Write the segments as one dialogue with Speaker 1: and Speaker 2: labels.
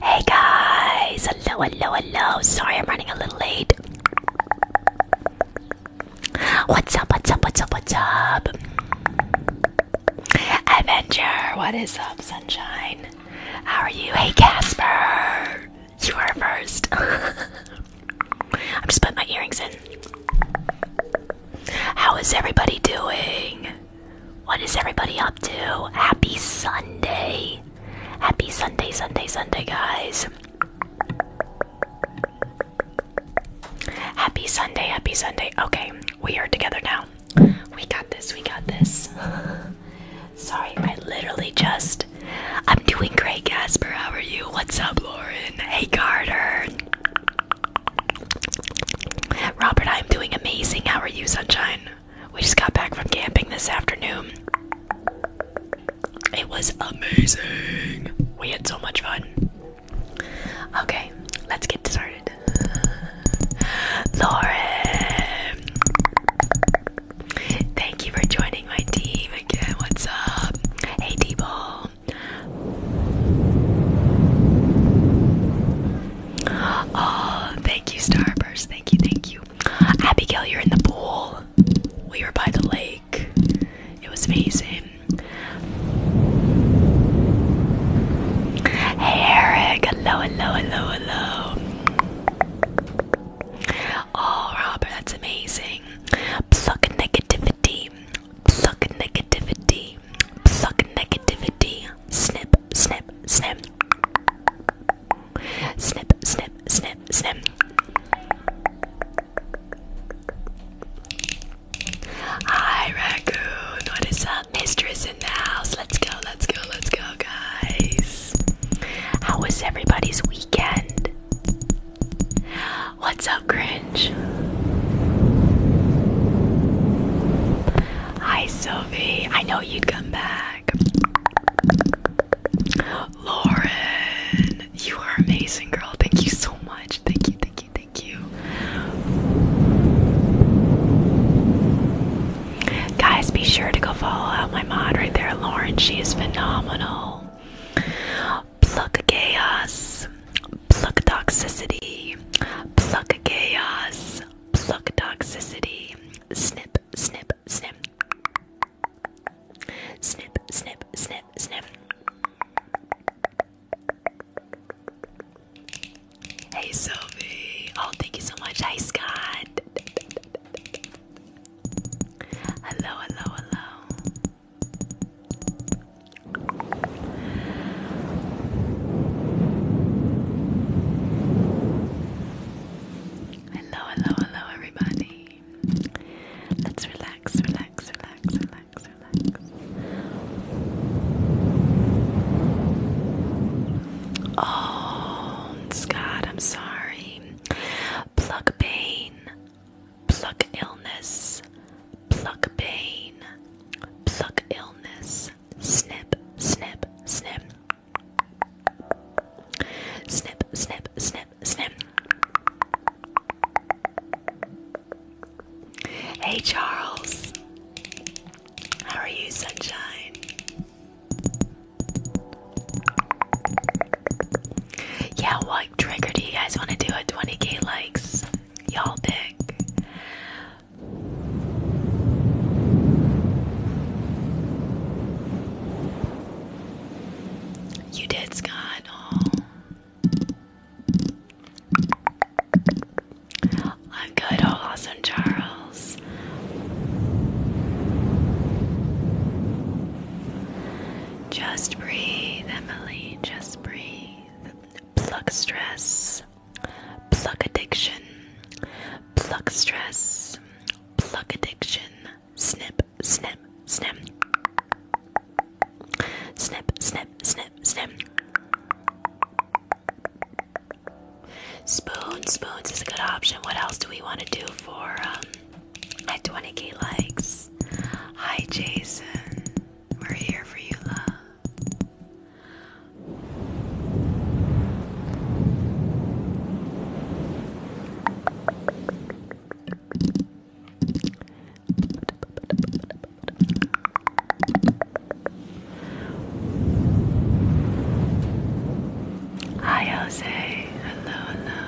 Speaker 1: Hey guys, hello, hello, hello. Sorry I'm running a little late. What's up, what's up, what's up, what's up? Avenger, what is up, sunshine? How are you? Hey, Casper, you are first. I'm just putting my earrings in. How is everybody doing? What is everybody up to? Happy Sunday. Happy Sunday, Sunday, Sunday, guys. Happy Sunday, happy Sunday. Okay, we are together now. We got this, we got this. Sorry, I literally just. I'm doing great, Casper. How are you? What's up, Lauren? Hey, Carter. Robert, I'm doing amazing. How are you, Sunshine? We just got back from camping this afternoon. It was amazing. We had so much fun. Okay, let's get started. Lauren, thank you for joining my team again. What's up? Hey, T-Ball. Oh, thank you, Starburst. Thank you, thank you. Abigail, you're in the pool. We were by the lake. It was amazing. Hey, Eric hello, hello, hello, hello. Oh, Robert, that's amazing. Pluck negativity, pluck negativity, pluck negativity. Snip, snip, snip. Snip, snip, snip, snip. Hi, Raccoon. What is up? mistress in the house. Let's go, let's go, let's go, guys. How was everybody's weekend? What's up, Grinch? Hi, Sophie. I know you'd come back. Lauren, you are amazing, girl. Thank you so much. Thank you, thank you, thank Guys, be sure to go follow out my mod right there, Lauren. She is phenomenal. Pluck chaos, pluck toxicity, pluck chaos, pluck toxicity. Snip, snip, snip. Snip, snip, snip, snip. Hey Sylvie. Oh, thank you so much. Hi Scott. Hello, hello, hello. Hello, hello, hello, everybody. Let's relax, relax, relax, relax, relax. Oh, Scott, I'm sorry. Pluck pain, pluck illness, pluck pain, pluck illness. Snip, snip, snip. Snip, snip, snip, snip. Hey, Charles. How are you, sunshine? Yeah, what trigger do you guys want to do at 20k likes? Y'all pick. You did, Scott. I'm good, oh awesome Charles. Just breathe, Emily, just breathe. Pluck stress, pluck addiction, pluck stress, pluck addiction, snip, snip, snip. Snip, snip, snip, snip. Spoons, spoons is a good option. What else do we want to do for my um, 20k likes? Hi, Jason. We're here for you, love. Hi, Jose. Hello, hello.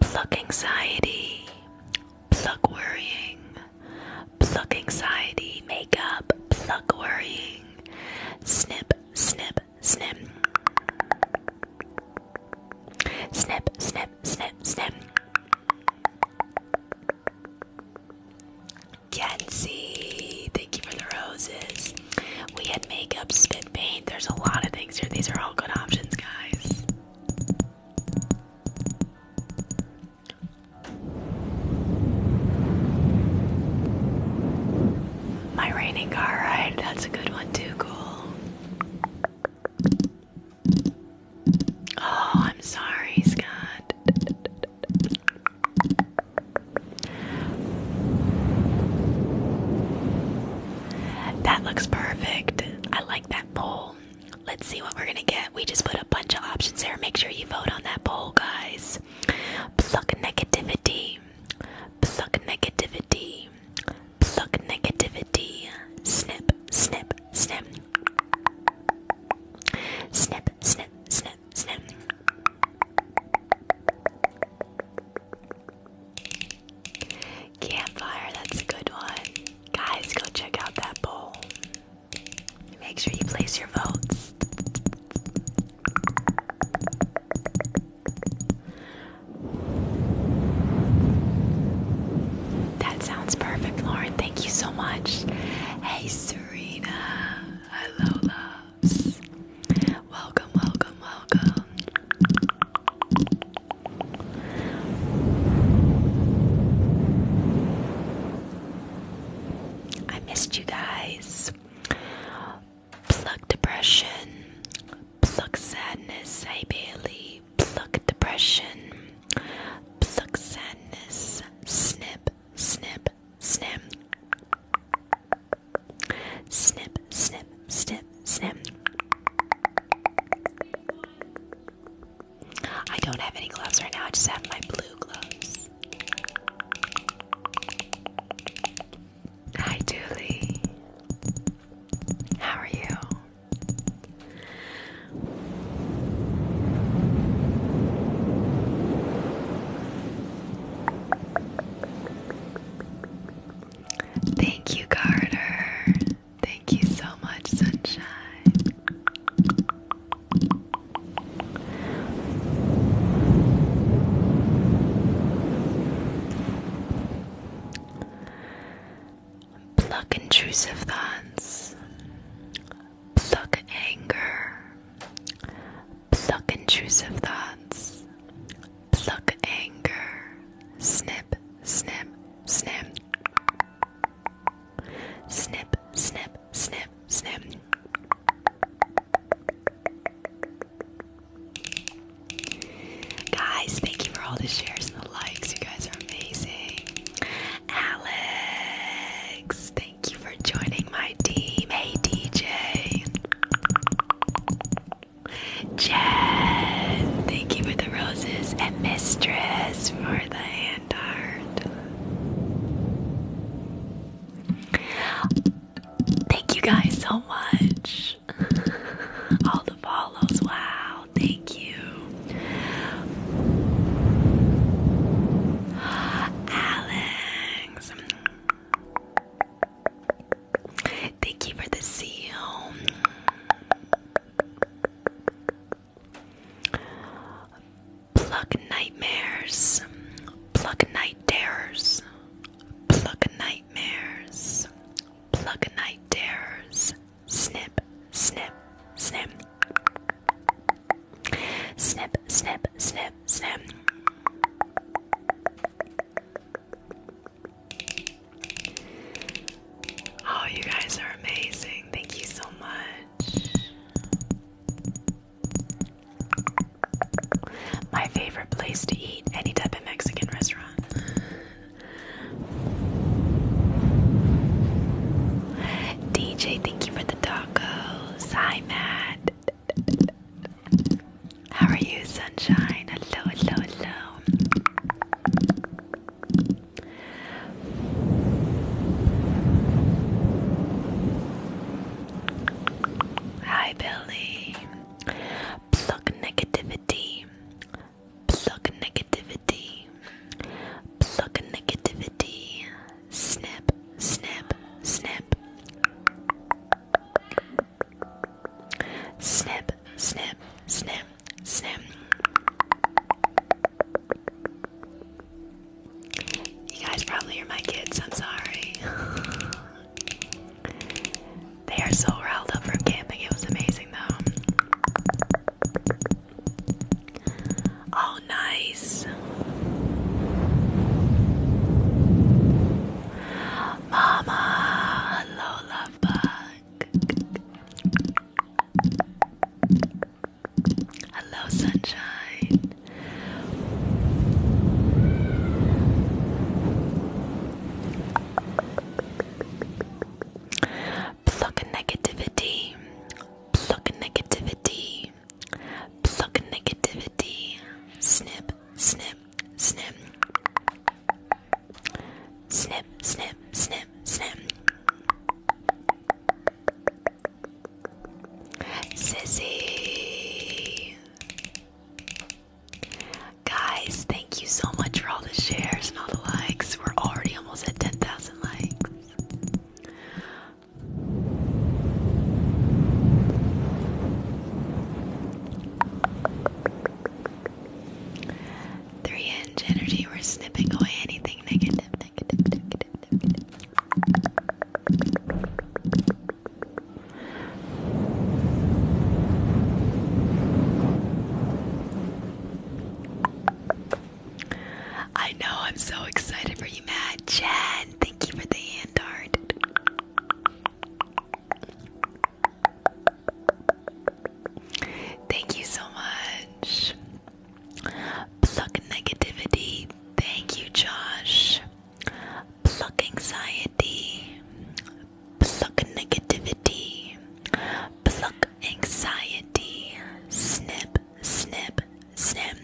Speaker 1: Pluck anxiety. Pluck worrying. Pluck anxiety. Makeup. Pluck worrying. Snip, snip, snip. Snip, snip, snip, snip. Mackenzie. Thank you for the roses. We had makeup, spit paint. There's a lot of things here. These are all good options,
Speaker 2: guys.
Speaker 1: My raining car ride. That's a good one, too. Cool. Oh, I'm sorry, Scott. That looks perfect. I like that poll. Let's see what we're gonna get. We just put a bunch of options there. Make sure you vote on that poll, guys. Pluck negativity. Pluck negativity. Pluck negativity. Snip, snip, snip. Snip, snip, snip snip, Campfire, that's a good one. Guys, go check out that poll. Make sure you place your votes. That sounds perfect, Lauren. Thank you so much. Hey, Serena. Hello, loves. Welcome, welcome, welcome. I missed you guys. Pluck depression, pluck sadness, hey Bailey. Pluck depression, pluck sadness, snip, snip, snip. Snip, snip, snip, snip. I don't have any gloves right now, I just have my blue gloves. Hi, Dooley. How are you? Thank you, Carter. Thank you so much, Sunshine. Pluck intrusive thoughts pluck anger, pluck intrusive thoughts, pluck anger, snip, snip, snip, snip, snip, snip, snip. Guys, thank you for all the shares and the likes. You guys are amazing. Alex, Thank you for joining my team. Hey, DJ. Jen, thank you for the roses. And Mistress for the hand art. Thank you guys so much. All the follows. Wow. Thank you. Alan. Thank you for
Speaker 2: the seal.
Speaker 1: Pluck nightmares. Pluck night dares. Pluck nightmares. Pluck night dares. Snip, snip, snip. Snip, snip, snip, snip. Oh, you guys are amazing. Thank you so much. My favorite place to eat any type of Mexican restaurant. DJ, thank you for the tacos. Hi, Matt. How are you, sunshine? Hello, hello, hello. Hi, Billy. Pluck negativity. Pluck negativity. Pluck negativity snip, snip, snip. Snip, snip, snip, snip. You guys probably are my kids, I'm sorry. they are so riled up from camping, it was amazing though. Oh, nice. Mama, hello, love Hello, sunshine. Pluck negativity. Pluck negativity negativity. Pluck negativity. Snip, snip, snip. Snip, snip, snip, snip. Sissy. Guys, thank you so much for all the shares and all the likes. We're already almost at 10,000 likes. Three inch energy, we're snipping away anything negative, negative, negative, negative. I know I'm so excited for you, Matt. Jen, Thank you for the hand art. Thank you so much. Pluck negativity. Thank you, Josh. Pluck anxiety. Pluck negativity. Pluck anxiety. Snip, snip, snip.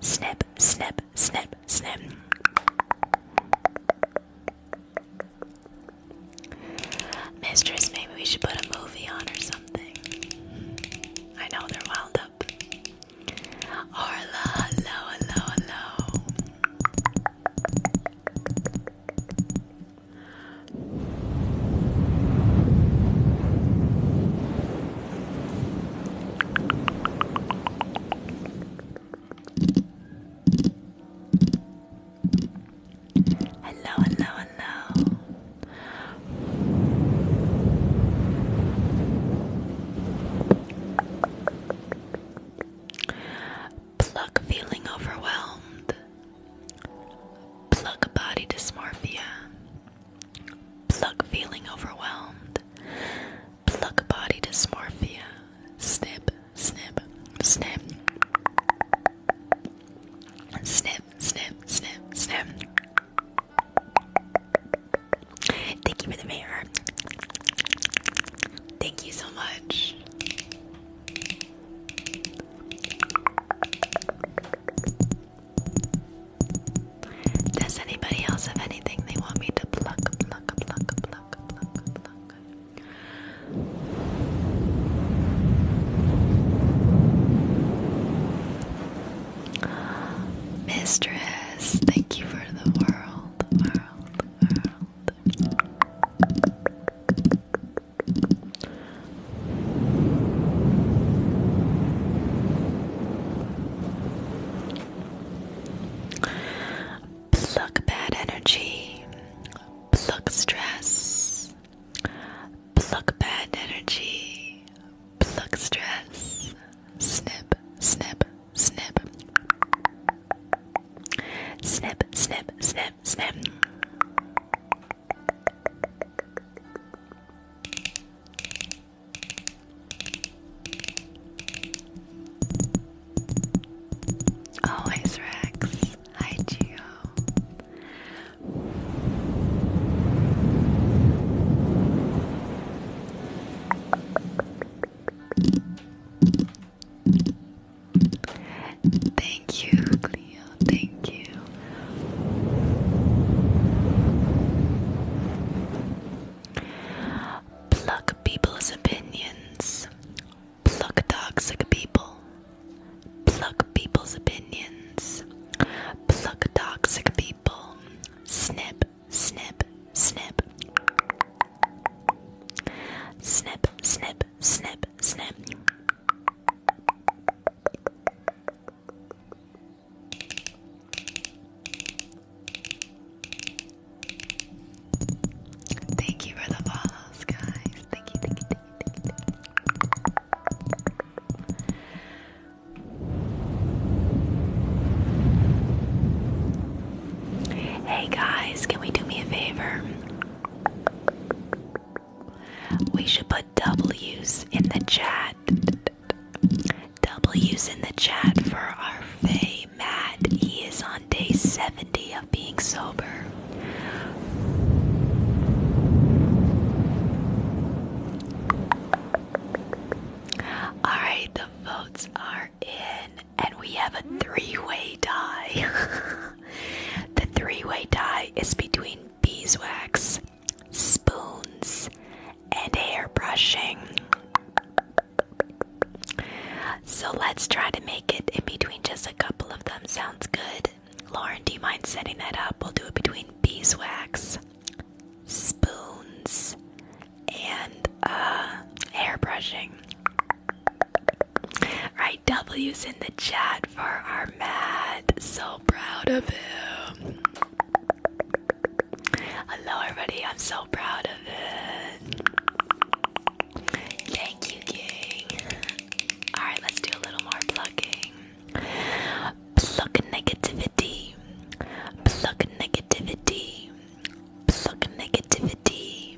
Speaker 1: Snip, snip, snip, snip. Mistress, maybe we should put a movie on or something. I know they're wound up. Arla, hello, hello, hello. Hello, hello, hello. Pluck feeling overwhelmed. Pluck body dysmorphia. Pluck feeling overwhelmed. Pluck body dysmorphia. Snip, snip, snip. Snip, snip, snip, snip. Thank you for the mirror. Thank you so much. Does anybody else have anything they want me to pluck, pluck, pluck, pluck, pluck, pluck? Mistress, thank you for the world, Pluck bad energy, pluck stress, pluck bad energy, pluck stress, snip, snip, snip, snip, snip, snip, snip. Always Rex. Hi Geo.
Speaker 2: Thank you, Cleo. Thank you.
Speaker 1: Pluck people's opinions. Pluck toxic people. Pluck people's opinions. Pluck toxic people. Snip, snip, snip. Snip, snip, snip, snip. Thank you for the follows, guys. Thank you, thank you, thank you, thank you, Hey guys, can we do me a favor? We should put W's in the chat. W's in the chat for our Faye Matt. He is on day 70 of being sober. Alright, the votes are in, and we have a three way tie. the three way tie is between beeswax, spoons, and hair brushing. So let's try to make it in between just a couple of them. Sounds good. Lauren, do you mind setting that up? We'll do it between beeswax, spoons, and uh, hair brushing. Right, W's in the chat for our Matt. So proud of him. Hello, everybody. I'm so proud of it. Thank you, King. All right, let's do a little more plucking. Pluck negativity. Pluck negativity. Pluck negativity.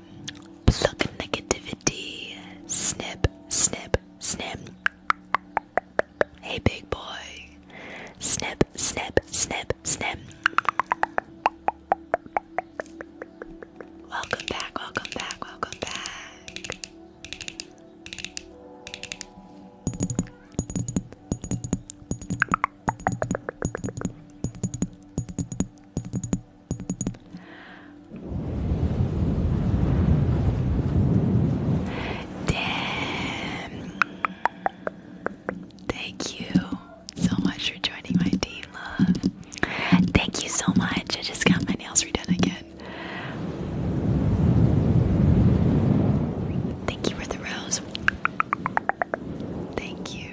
Speaker 1: Pluck negativity. Snip, snip, snip. Hey, big boy. Snip, snip, snip, snip. Welcome back, welcome back, welcome back. Damn. Thank you so much for joining my team, love. Thank you so much. I just got my nails redone again. Thank you for the rose. Thank you.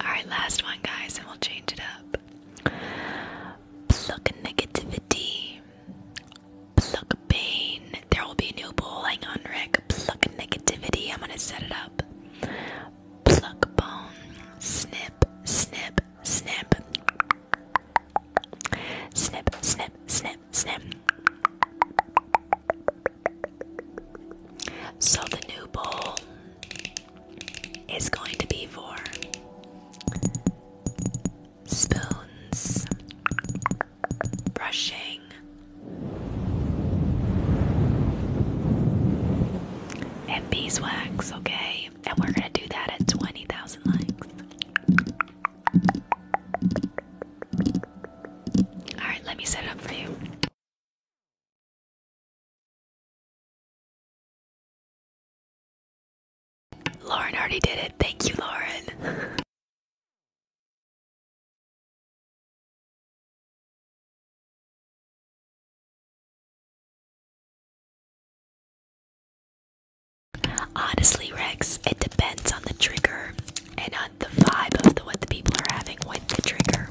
Speaker 1: Alright, last one, guys, and we'll change it up. Pluck negativity. Pluck pain. There will be a new bowl. Hang on, Rick. Pluck negativity. I'm gonna set it up. Pluck bone. Snip, snip, snip. Snip, snip, snip, snip. So the new bowl is going to be for spoons brushing. And beeswax, okay? And we're gonna do that at 20,000 likes. Alright, let me set it up for you.
Speaker 3: Lauren already did it. Thank you, Lauren. Honestly, Rex, it depends on the trigger
Speaker 1: and on the vibe of the, what the people are having with the trigger.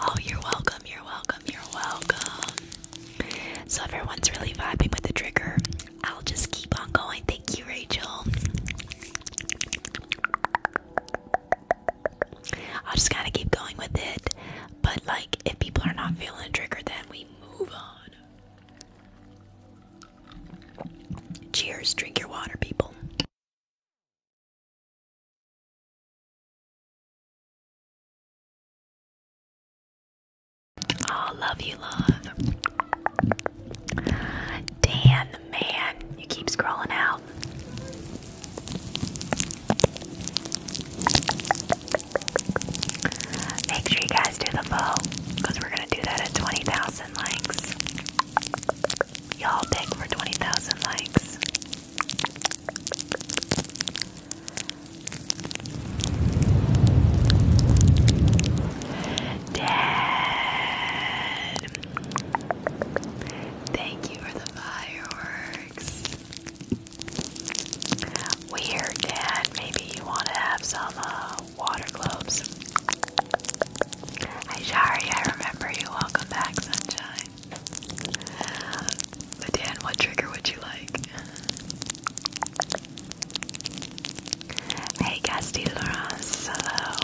Speaker 1: Oh, you're welcome, you're welcome, you're welcome. So, everyone's really vibing with the trigger, I'll just keep on going. Thank you, Rachel. I'll just kind of keep going with it. But, like, if people are not feeling triggered, then we move on.
Speaker 3: Cheers. Drink your water, people. Oh, love you, love.
Speaker 1: Dan, the man, you keep scrolling out. Make sure you guys do the vote, because we're going to do that at 20,000 likes. Y'all pick for 20,000 likes. Dad. Thank you for the fireworks. Weird, Dad. Maybe you want to have some uh, water globes. Hi, Shari. I remember you. Welcome back, sunshine. But Dan, what trigger would you like? Hey Castile hello.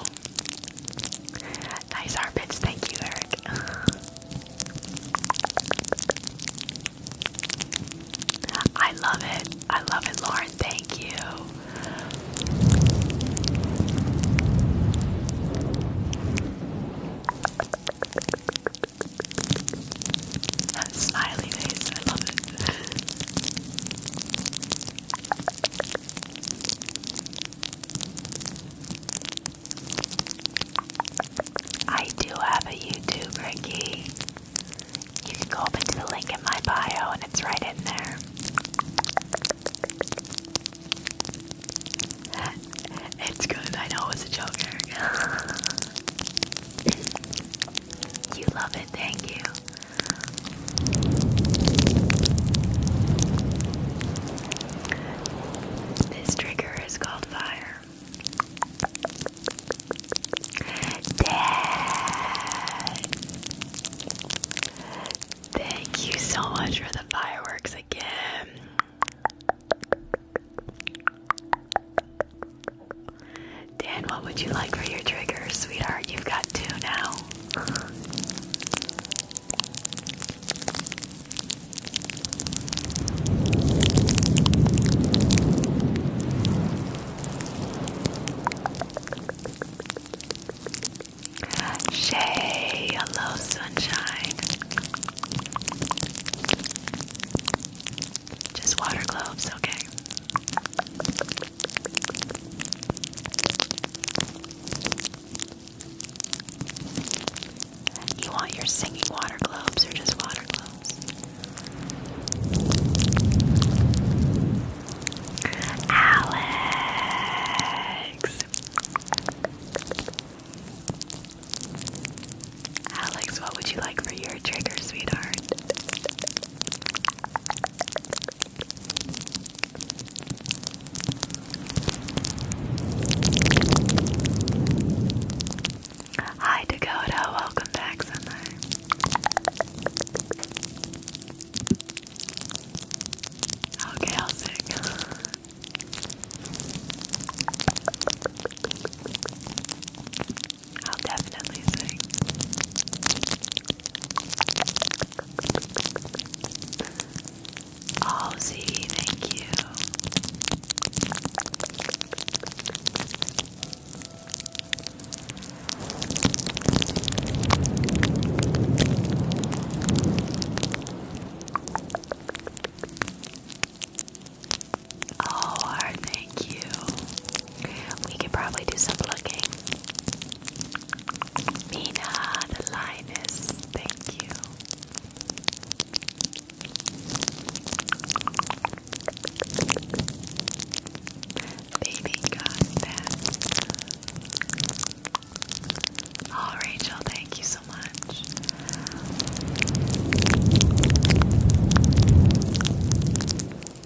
Speaker 1: Nice armpits, thank you, Eric. I love it. I love it, Lauren, thank you. smiley face, I love it. I do have a YouTube, Ricky. You can go up into the link in my bio and it's right in there. It's good, I know it a joke, Eric. you love it, thank you. This trigger is called fire. Thank you so much for the fireworks again. Dan, what would you like for your triggers, sweetheart? You've got two now. Shay, hello, sunshine. Just water globes, okay. You want your singing water globes or just water globes? Alex! Alex, what would you like for your trigger, sweetheart? Hi Dakota, welcome back, son. Okay, I'll sing. I'll definitely sing. Oh, see, thank you. Oh, hard, thank you. We could probably do some looking. Mina, the lioness, thank you. Baby got Oh, Rachel, thank you so much.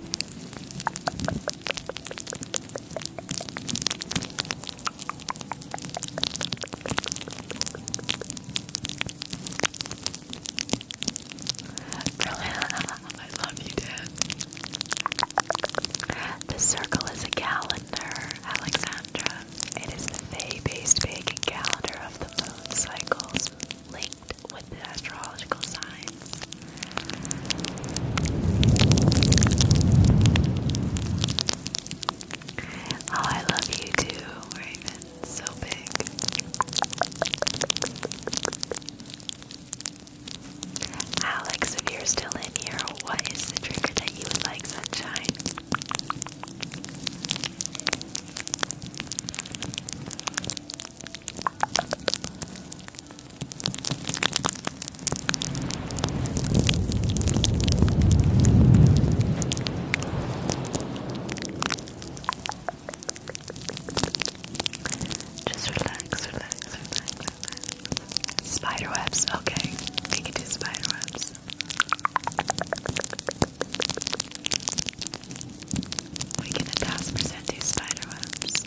Speaker 1: The circle is a calendar, Alexandra. It is the May-based pagan calendar of the moon cycles with the astrological signs. Oh, I love you too, Raven. So big. Alex, if you're still in here, what is the trigger that you would like, sunshine? Just relax, relax, relax, relax. Spider webs, okay. You can do spider webs. We can a thousand percent do spider webs.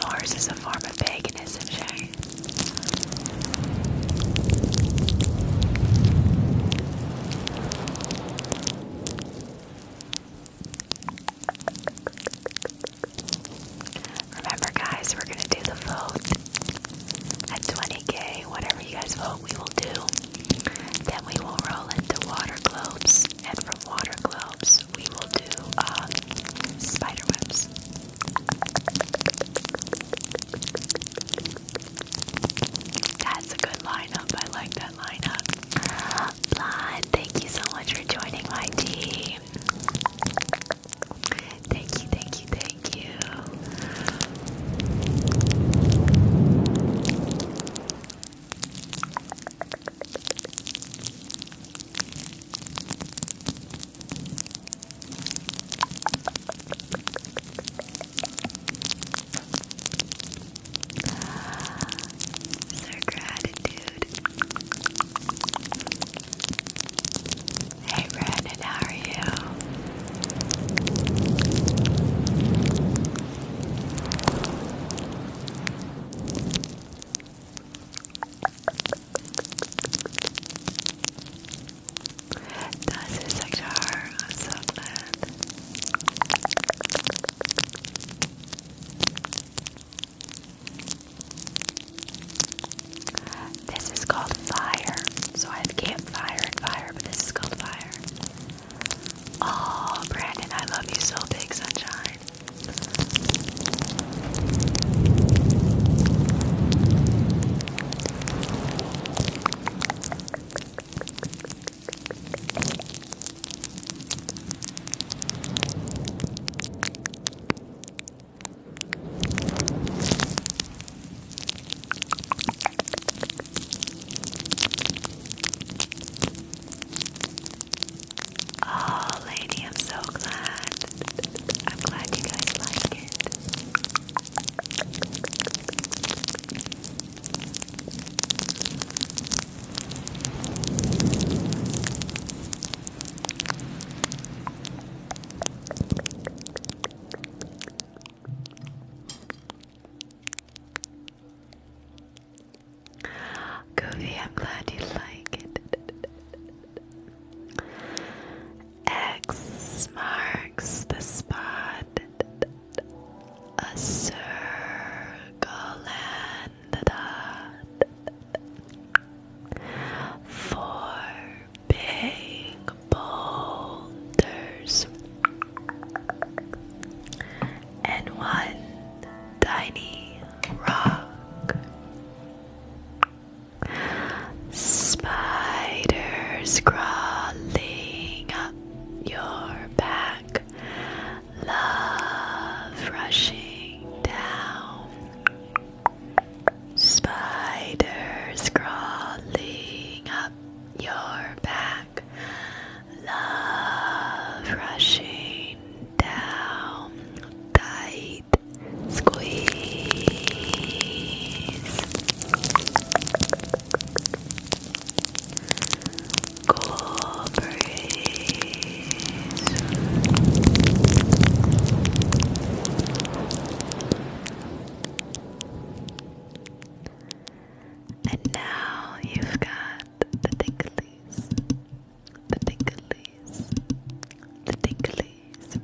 Speaker 1: Norse is a form of paganism, Remember, guys, we're gonna do the vote at 20k. Whatever you guys vote, we will do. Then we will roll into water globes, and from water globes, we will do uh, spider webs. That's a good lineup. I like that lineup. Blood, thank you so much for joining my team. Thank you, thank you, thank you. Sir Gratitude. Hey Brandon, how are you? That's his sector. I'm so glad. This is called fire. So I have campfire and fire, but this is called fire. Oh, Brandon, I love you so big, sunshine. Oh, lady, I'm so glad. I'm glad you guys like it. Goofy, I'm glad you like it. X marks the spot. A circle and a Four big boulders and one tiny rock. Spiders crawling up your back, love rushing down. Spiders crawling up your back, love rushing down, tight squeeze, cool breeze. And now you've got the ticklies, the ticklies, the ticklies.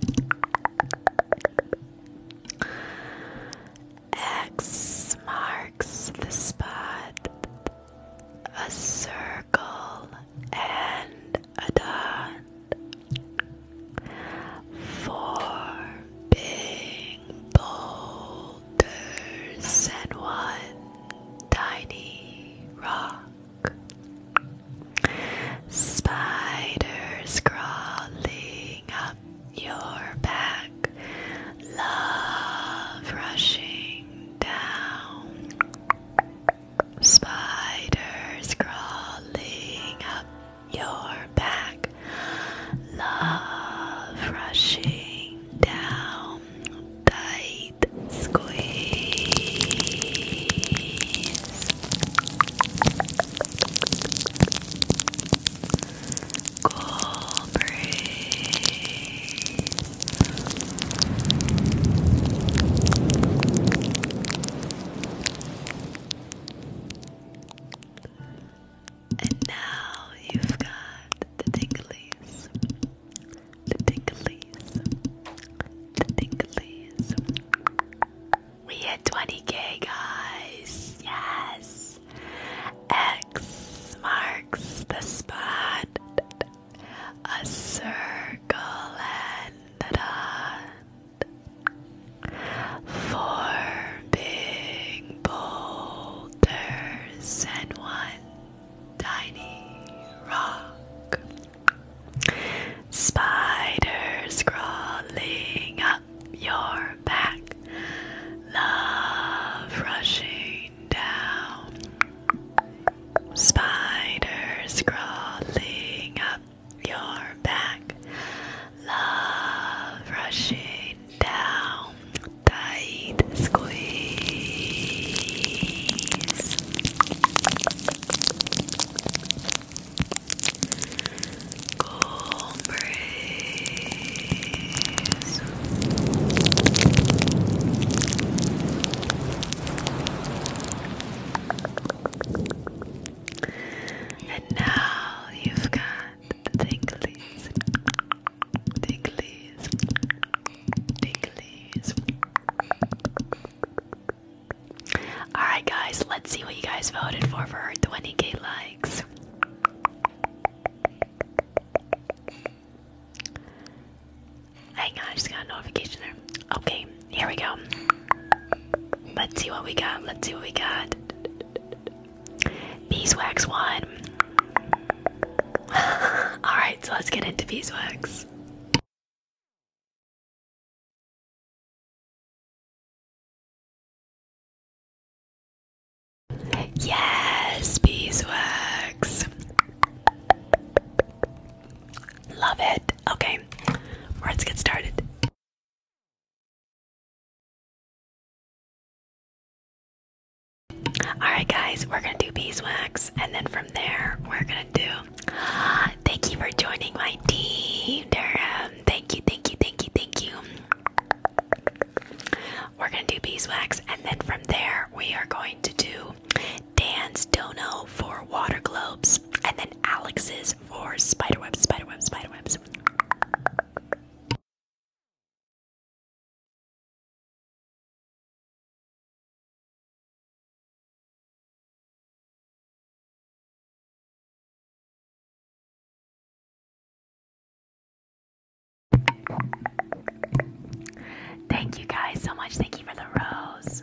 Speaker 1: X marks the spot. A circle and Adan for being boulders and one tiny rock. Spiders crawling up your back, love rushing down. Spiders crawling up your back, love rushing down, tight squeeze. Cool breeze. And now you've got the tinglies, the tinglies, the tinglies. We hit 20k, guys. Yes. X marks the spot. A circle and da da Four big boulders and one tiny rock. Spiders crawling up your back. Love rushing down. Spiders crawling up your back, love rushing down, tight squeeze. Cool and now you've got the tinglies, tinglies, Alright, guys, let's see what you guys voted for for her 20k likes. Hang on, I just got a notification there. Okay, here we go. Let's see what we got. Let's see what we got. Beeswax one. Alright, so let's get into
Speaker 3: beeswax. Yes, beeswax. Love it. Okay, let's get started. Alright, guys, we're gonna do
Speaker 1: beeswax, and then from there, we're gonna do. Thank you for joining my team, Thank you, thank you, thank you, thank you. We're gonna do beeswax, and then from there, we are going to do dance dono
Speaker 4: for water globes and then Alex's for spiderwebs, spiderwebs, spiderwebs.
Speaker 3: Thank you guys so much. Thank you for the rose.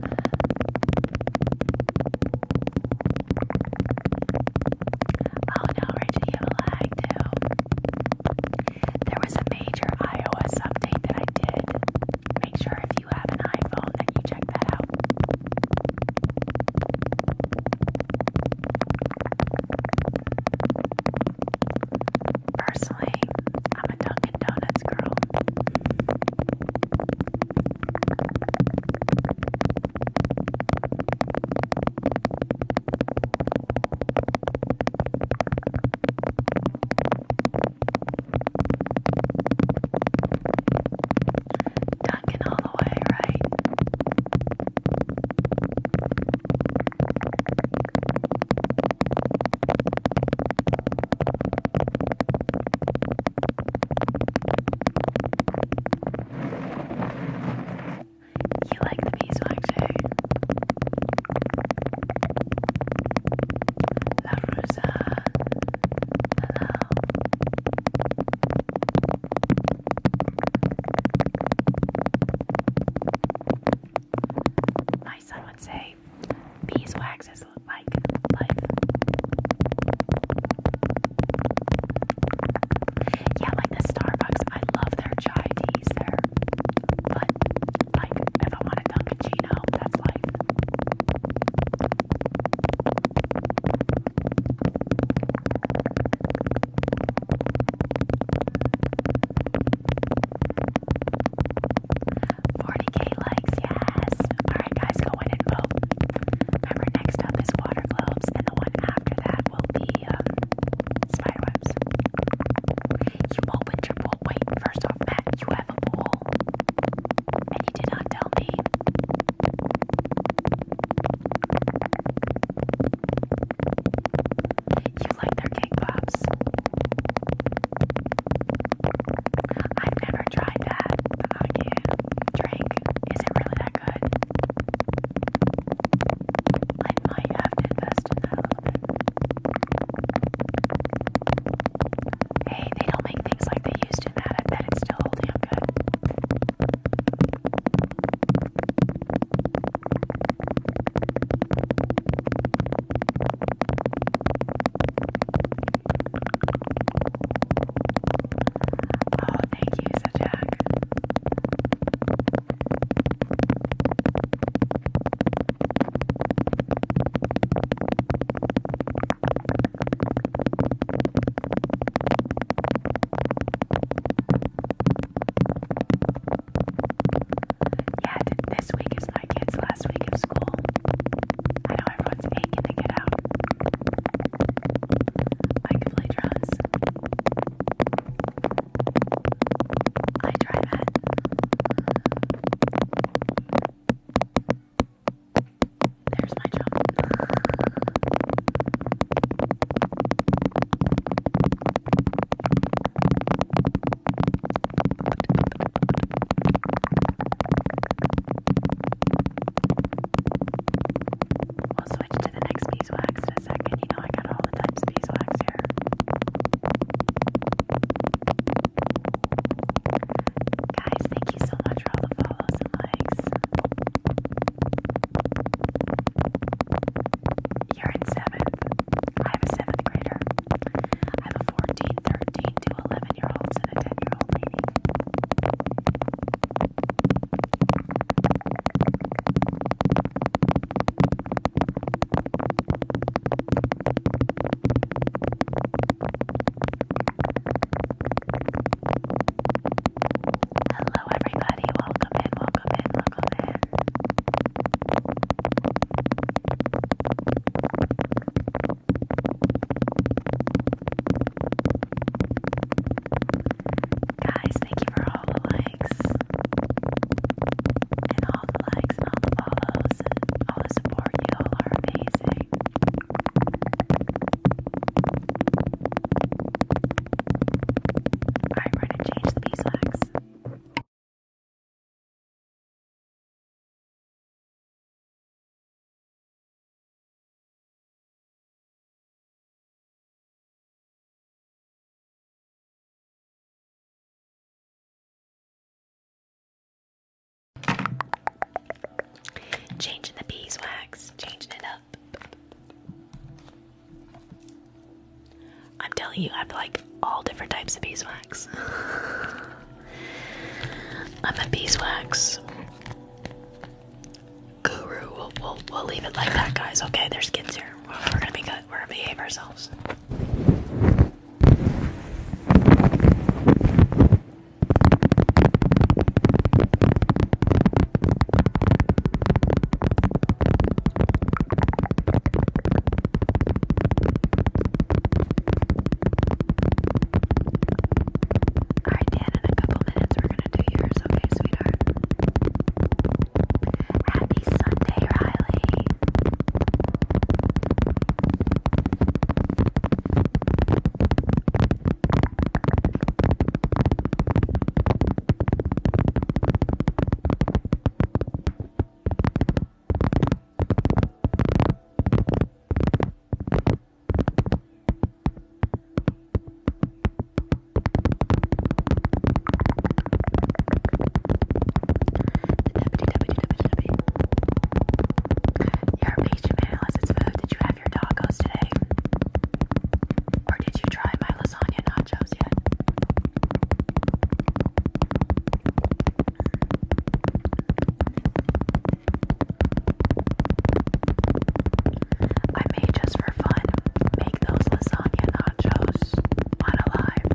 Speaker 3: Oh no, Reggie, you have a too. There was a major iOS update that I did. Make sure if you have an iPhone that you check that out.
Speaker 1: Personally, I'm a Dunkin' Donuts girl. Dunking all the way, right? You like the beeswax, too? La Rosa. Hello. My son would say beeswax is like life. Yeah, like the Starbucks. I love their chai teas there. But like if I want a Dunkachino, that's 40k likes, yes. Alright, guys, go in and vote. Remember, next up is water globes, and the one after that will be um, spiderwebs. You opened your pool. Wait, first off, Matt, you have a pool, and you did not tell me. You like their cake pops. I've never tried that. Oh yeah, drink. Is it really that good? I might invest in that Hey, they don't make things like they used in that. it's still holding good. Oh, thank you, Sajak. Yeah, this week is my kids' life last week of school. I know everyone's aching to get out. I could play drums. I try that. There's my jump. We'll switch to the next beeswax in a second. You know, I got all the types of beeswax here. Guys, thank you so much for all the follows and likes. You're in seventh. I have a seventh grader. I have a 14, 13 to 11 year olds and a 10 year old Hello, everybody. Welcome
Speaker 3: in, welcome in, welcome in. Guys, thank you for all the likes and all the likes and all the follows and all the support. You all are amazing. Alright, we gonna change the beeswax. Changing the beeswax,
Speaker 1: changing it up. I'm telling you, I have like all different types of beeswax. I'm a beeswax Guru. We'll, leave it like that, guys. Okay, there's kids here. we're gonna be good. We're gonna behave ourselves. Alright, Dan, in a couple minutes we're gonna do yours, okay, sweetheart? Happy Sunday, Riley. Your beach mail is food. Did you have your tacos today? Or did you try my lasagna nachos yet? I may just for fun make those lasagna nachos on a live.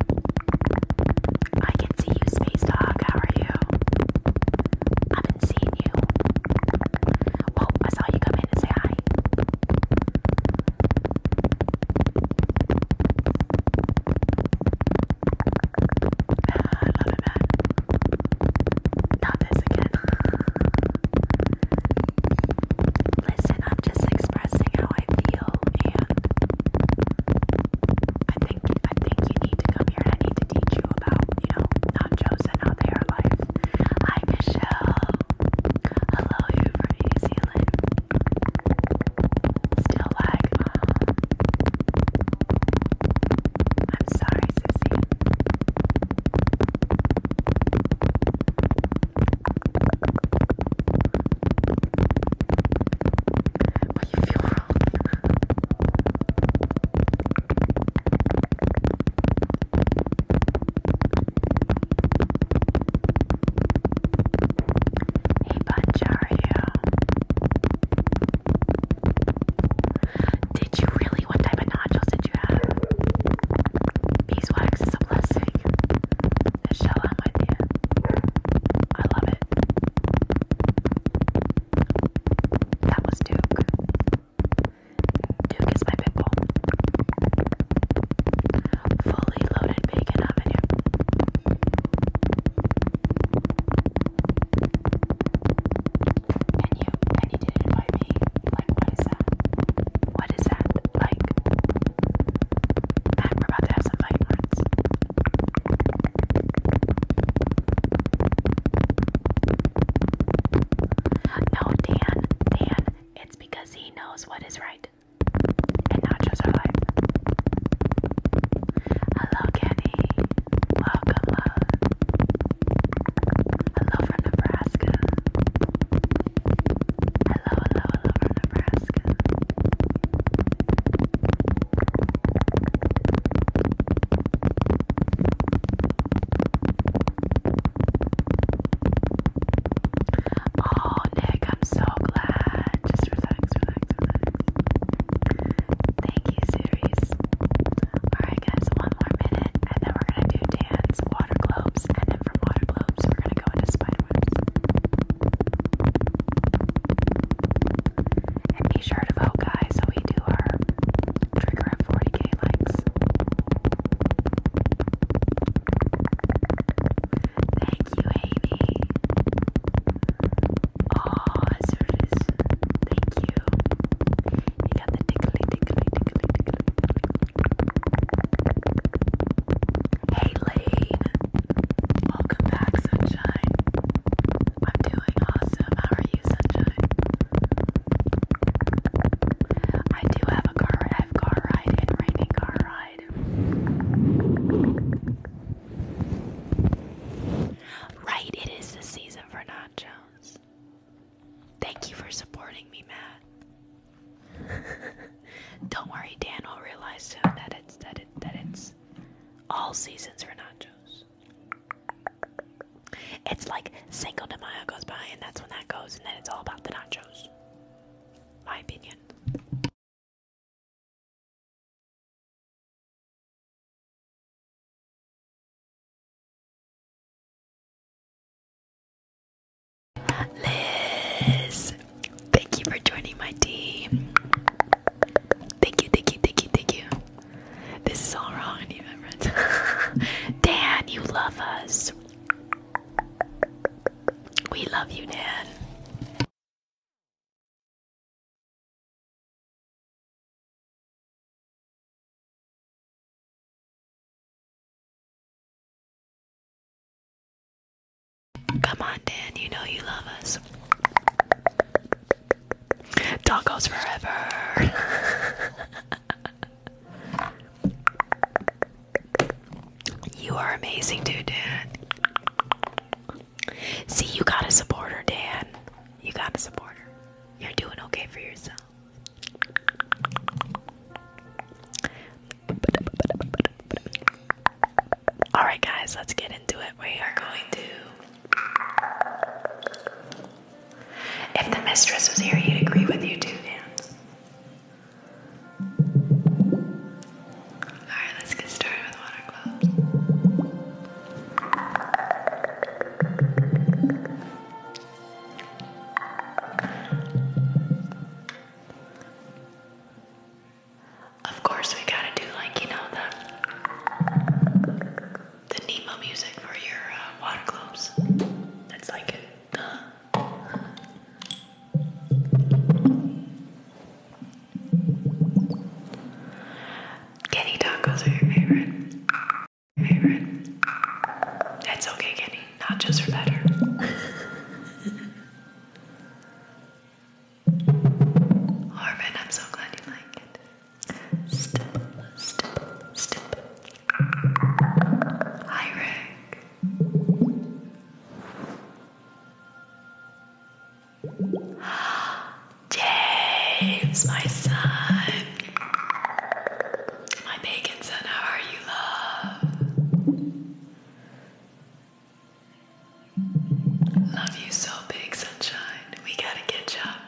Speaker 1: I can see you, Space Dog. How are you? I haven't seen you. Oh, I saw you come in and say hi. I Not this again. Listen, am just expressing how I feel, and I think I think you need to come here, and I need to teach you about, you know, not chosen, how they life. Hi, Michelle. Hello, you from New Zealand. Still lag. I'm sorry, Sissy. Well, you feel wrong. hey, Bunch, are you? Did you really? What type of nodules did you have? Beeswax is a blessing. The shell my hand. I love it. That was Duke. Duke is my pickle. Fully loaded bacon avenue. And you and you didn't invite me. Like what is that? What is that? Like Man, we're about to have some fight words. No, Dan, Dan, it's because he knows what is right. And not just our life. Hello, Kenny. Welcome, love. Hello from Nebraska. Hello, hello, hello from Nebraska. Oh, Nick, I'm so glad. Just relax, relax, relax. Thank you, series. Alright, guys, one more minute, and then we're gonna do Dan's water globes, and then from water globes, we're gonna go into spiderwebs. And be sure to vote, guys, so we do our trigger at 40k likes. Thank you, Amy. Oh, Thank you. Hey, Lane. Welcome back, sunshine. I'm doing awesome. How are you, sunshine? I do have a car. I car ride and rainy car ride. Right, it is the season for nachos. Thank you for supporting me, Matt. Don't worry, Dan will realize soon that it's that it that it's all seasons for nachos. It's like
Speaker 3: Cinco de Mayo goes by, and that's when that goes, and then it's all about the nachos. My opinion.
Speaker 1: Liz, thank you for joining my team. Thank you, thank you, thank you, thank you. This is all wrong, Dan, you love us.
Speaker 3: We love you, Dan. Come on, Dan, you know you love us. Tacos
Speaker 1: forever. you are amazing, dude, Dan. See, you got a supporter, Dan. You got a supporter. You're doing okay for yourself. Alright, guys, let's get into it. We are going to. If the mistress was here, he'd agree with you too, Vance. Alright, let's get started with water gloves. Of course, we gotta do like you know the the Nemo music for your uh, That's like it. Kenny tacos are your favorite favorite. That's okay, Kenny. Nachos are better. Harvin, I'm so glad you like it. Step, step, step. Hi, Rick. James, my son. My bacon son, how are you, love? Love you so big, sunshine. We gotta catch up.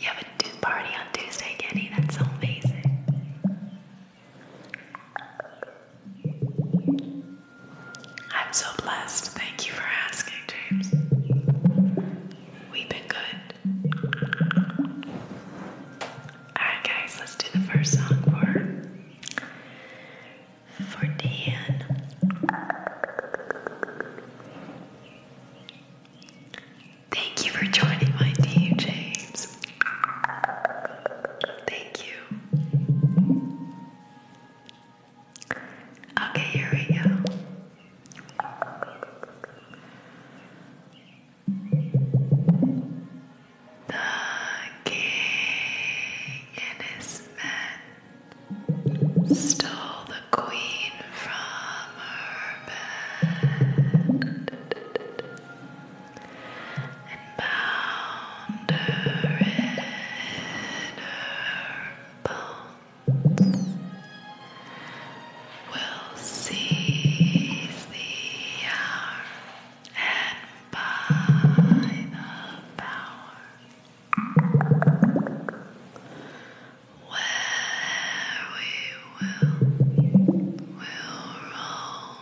Speaker 1: You have a party on Tuesday, Kenny. That's amazing. I'm so blessed. Thank you for asking, James. We've been good. Alright, guys, let's do the first song for for Dan. Thank you for joining my team, Thank you. Okay, here we go.
Speaker 4: The king and his men stole the queen from her bed and bound her in her bones will seize the hour and by the power where we will will roam.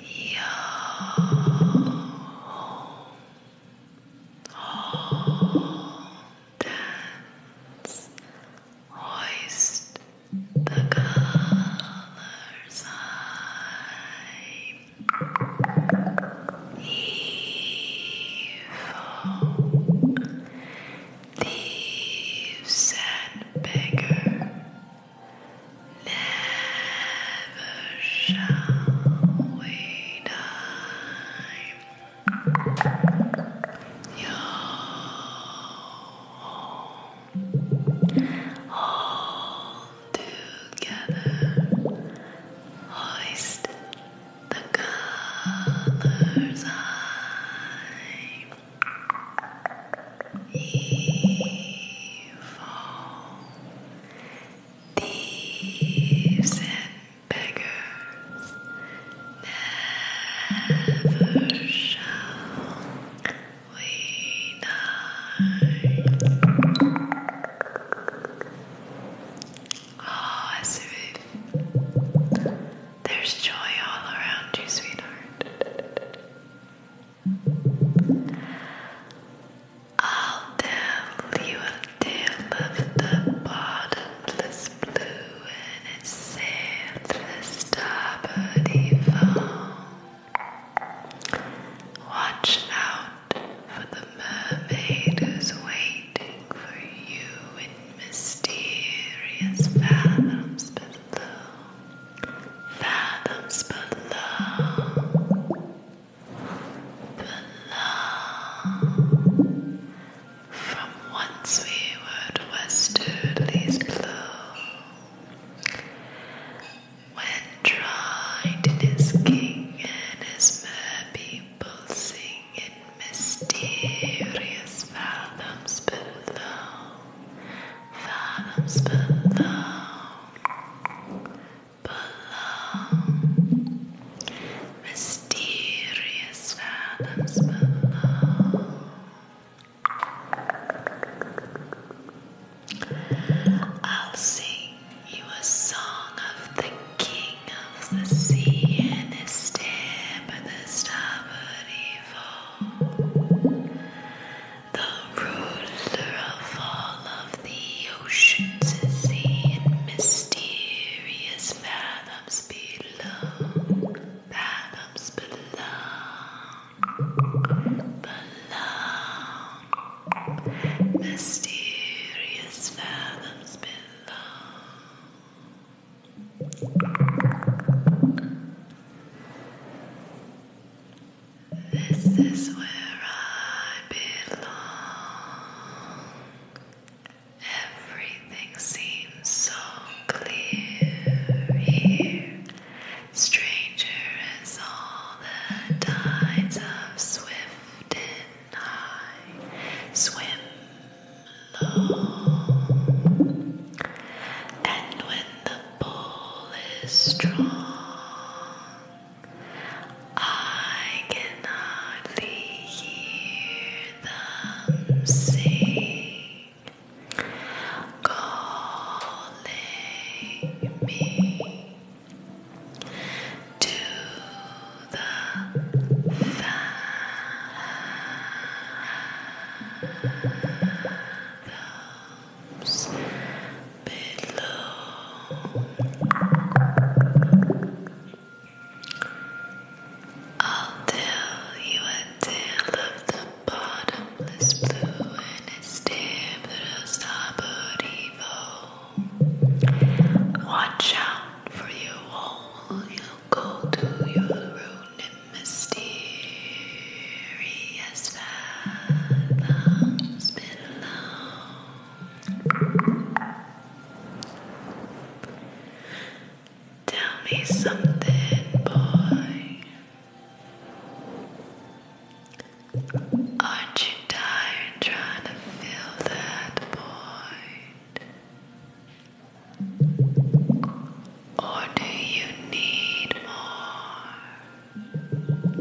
Speaker 4: Yo home. Hold, dance, hoist the colors high. Evil, thieves and beggar, Never
Speaker 1: shall we die. all together, hoist the colors high. Evil thieves and beggars never shall we die. Oh, as there's joy all around you, sweetheart. I'll tell you a tale of the bottomless blue and its sailor's starboard evil. Watch out for the mermaid who's waiting for you in mysterious fathoms below. Fathoms below. Below. From once we were these blow. When tried king and his mere sing in mysterious fathoms below, fathoms below below, mysterious fathoms below. I'll sing you a song of the king of the sea and his step and the starboard evil, the ruler of all of the oceans sea in mysterious fathoms below, fathoms below, below, mysterious fathoms below. This is where I belong. Everything seems so clear here. Stranger is all the tides of swift and high swim low. And when the pull is strong, I can hardly hear them sing, calling me to the fathoms below. I'll tell you a tale of the bottomless blue and its damn little Watch out for your hole, you'll go to your ruin mysterious fathoms below. Tell me something, boy. Aren't you tired trying to fill that boy? Or do you need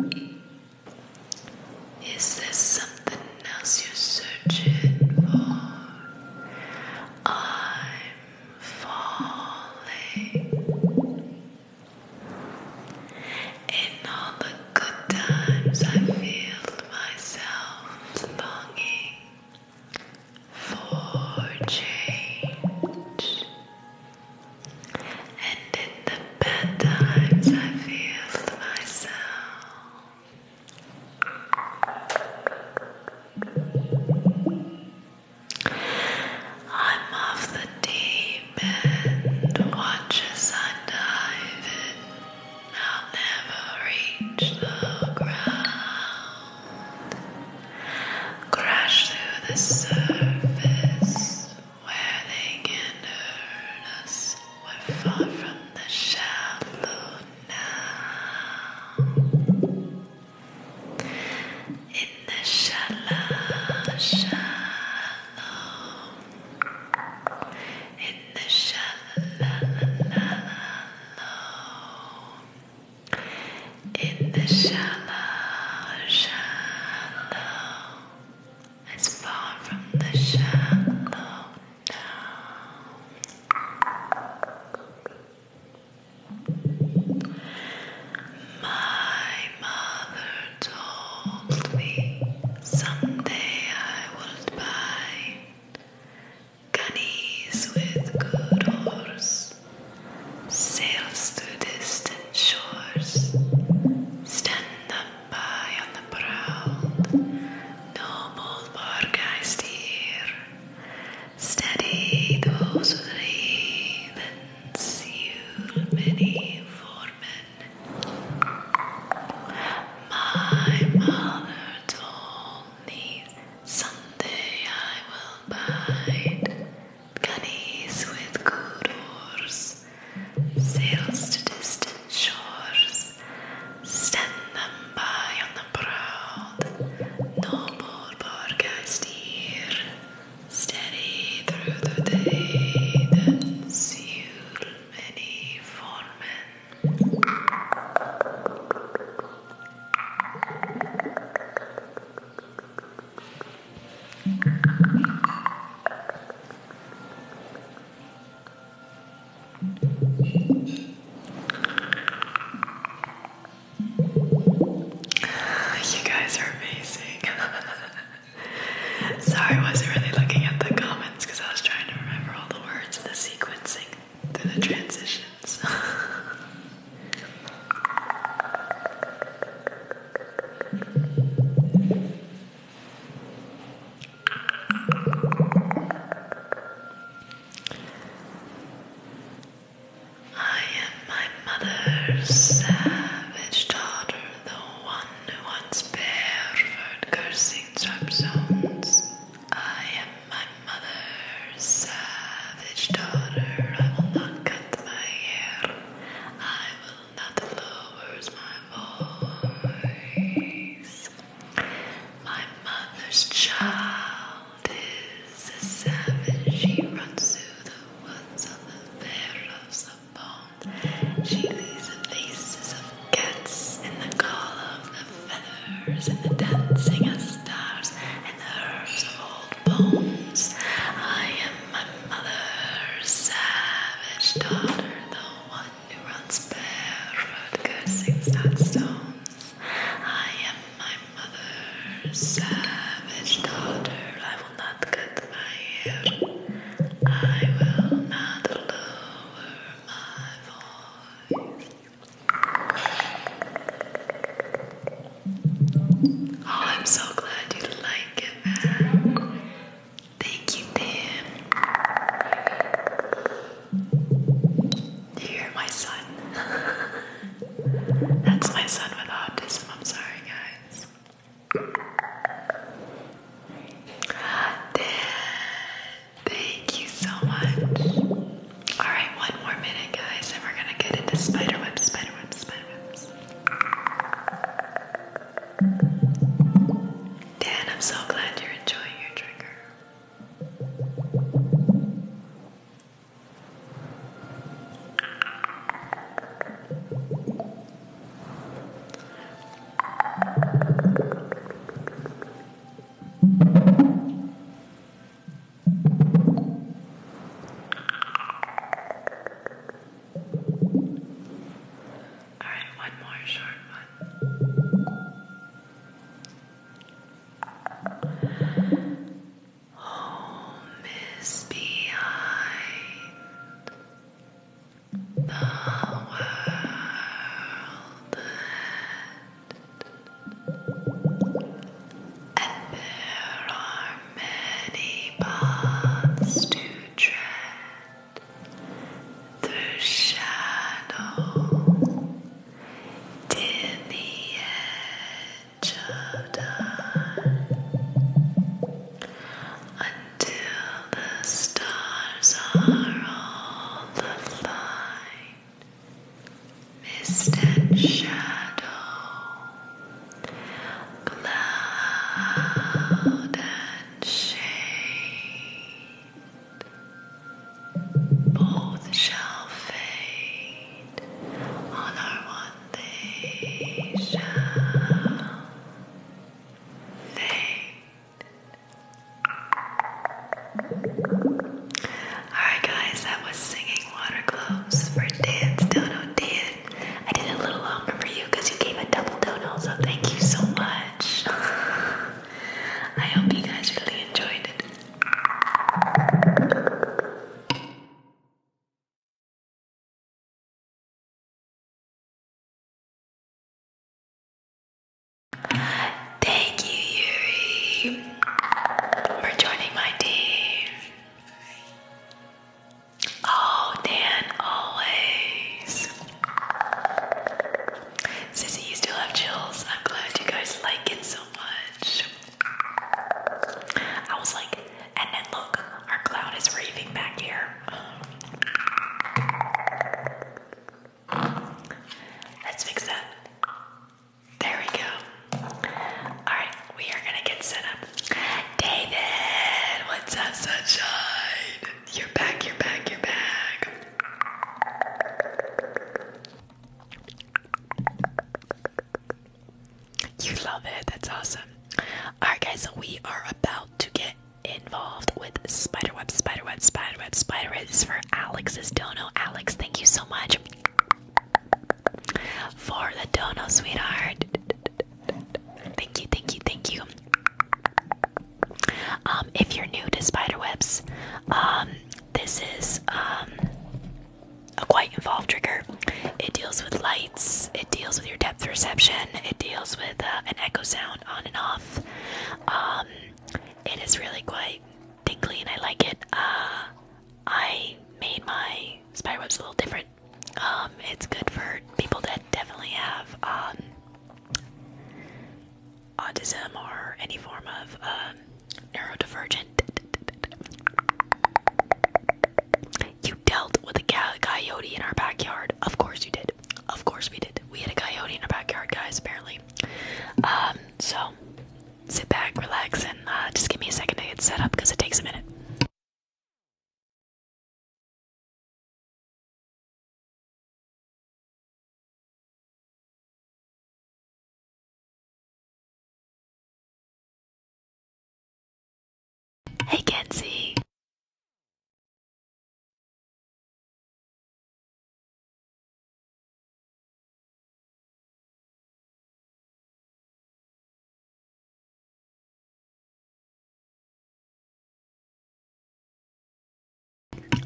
Speaker 1: more? Is there something else you're searching for? I'm falling. In all the good times, I feel myself longing for change. And in the bad times, I feel myself I'm of the deep end, watch as I dive in. I'll never reach the
Speaker 4: ground. Crash through the surface where they can hurt us. We're far from the shallow now. In the
Speaker 1: shallow, shallow. In the shallow. In the shallow, shallow as far from the shallow down. My mother told me someday I would buy Canies with good oars, sails to distant shores, stand them no more bargaist here. Steady those who leave and seal many foremen. My mother told me someday I will buy Gunnies with good sails to distant shores, Stand them by on the No more proud, cast here. steady through the day that seal many foremen. You guys are amazing. Sorry, I wasn't really looking at the comments because I was trying to remember all the words and the sequencing through the transitions. I am my mother's savage daughter, the one who once pervert cursing sharp zones. I am my mother's savage daughter. I will not cut my hair. I will not lower
Speaker 2: my voice. My mother's child is a savage.
Speaker 1: She runs through the woods on the bare of bones. She leaves the faces of cats in the call of the feathers and the dancing of stars and the herbs of old bones. I am my mother's savage daughter, the one I am my mother's savage daughter. I will not cut my hair. I will not lower my voice. Oh, I'm so glad you like it, man. Thank you, Dan. you hear my son? That's my son with autism. I'm sorry, guys. Dan, thank you so much. Alright, one more minute, guys, and we're gonna get into spiderwebs, spiderwebs, spiderwebs.
Speaker 2: Dan, I'm so glad you're enjoying your drinker. All right, one more short one. Home is behind the world and there are many paths to tread through shadow
Speaker 1: to the edge of time until the stars are all aligned. Mist and shadow, cloud and shade. Alright guys, that was Singing Water for Dance Dono Dan. I did it a little longer for you you gave a double dono, so thank you so much. I hope you guys really enjoyed it. Thank you, Yuri, for joining my team. Oh, Dan, always. Sissy, you still have chills. I'm glad you guys like it so much. I was like, and then look, our cloud is raving back here. Let's fix that. There we go. Alright, we are gonna get set up. David, what's up, sunshine? You're back, you're back, you're back. You love it. That's awesome. Alright, guys, so we are about to get involved with spider spider web, web, spider web, spider web. This is for Alex's dono. Alex, thank you so much for the dono, sweetheart. Thank you, thank you, thank you. Um, if you're new to spiderwebs, um, this is um, a quite involved trigger. It deals with lights, it deals with your depth perception, it deals with uh, an echo sound on and off. Um, it is really quite tingly and I like it. Uh, I made my spiderwebs a little different. it's good for people that definitely have autism or any form of um, neurodivergent. You dealt with a coyote in our backyard. Of course you did. Of course we did. We had a coyote in our backyard, guys. Apparently. Um. So, sit
Speaker 3: back, relax, and uh, just give me a second to get set up because it takes a minute. Hey, Kenzie.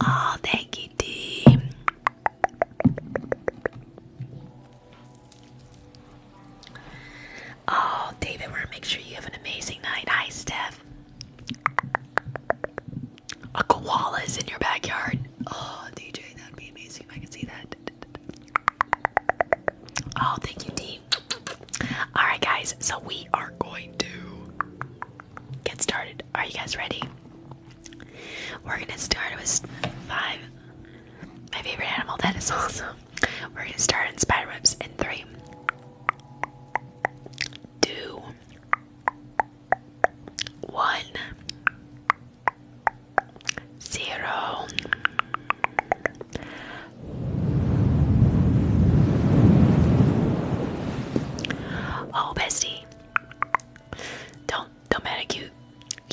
Speaker 3: Oh, thank you, Dee.
Speaker 1: Oh, David, want to make sure you have an amazing night. Hi, Steph. A koala is in your backyard. Oh, DJ, that'd be amazing if I could see that. Oh, thank you, team. All right, guys. So we are going to get started. Are you guys ready? We're gonna start with five. My favorite animal, that is awesome. We're gonna start in spider webs in three, two, one, zero. Oh, bestie, don't don't manicute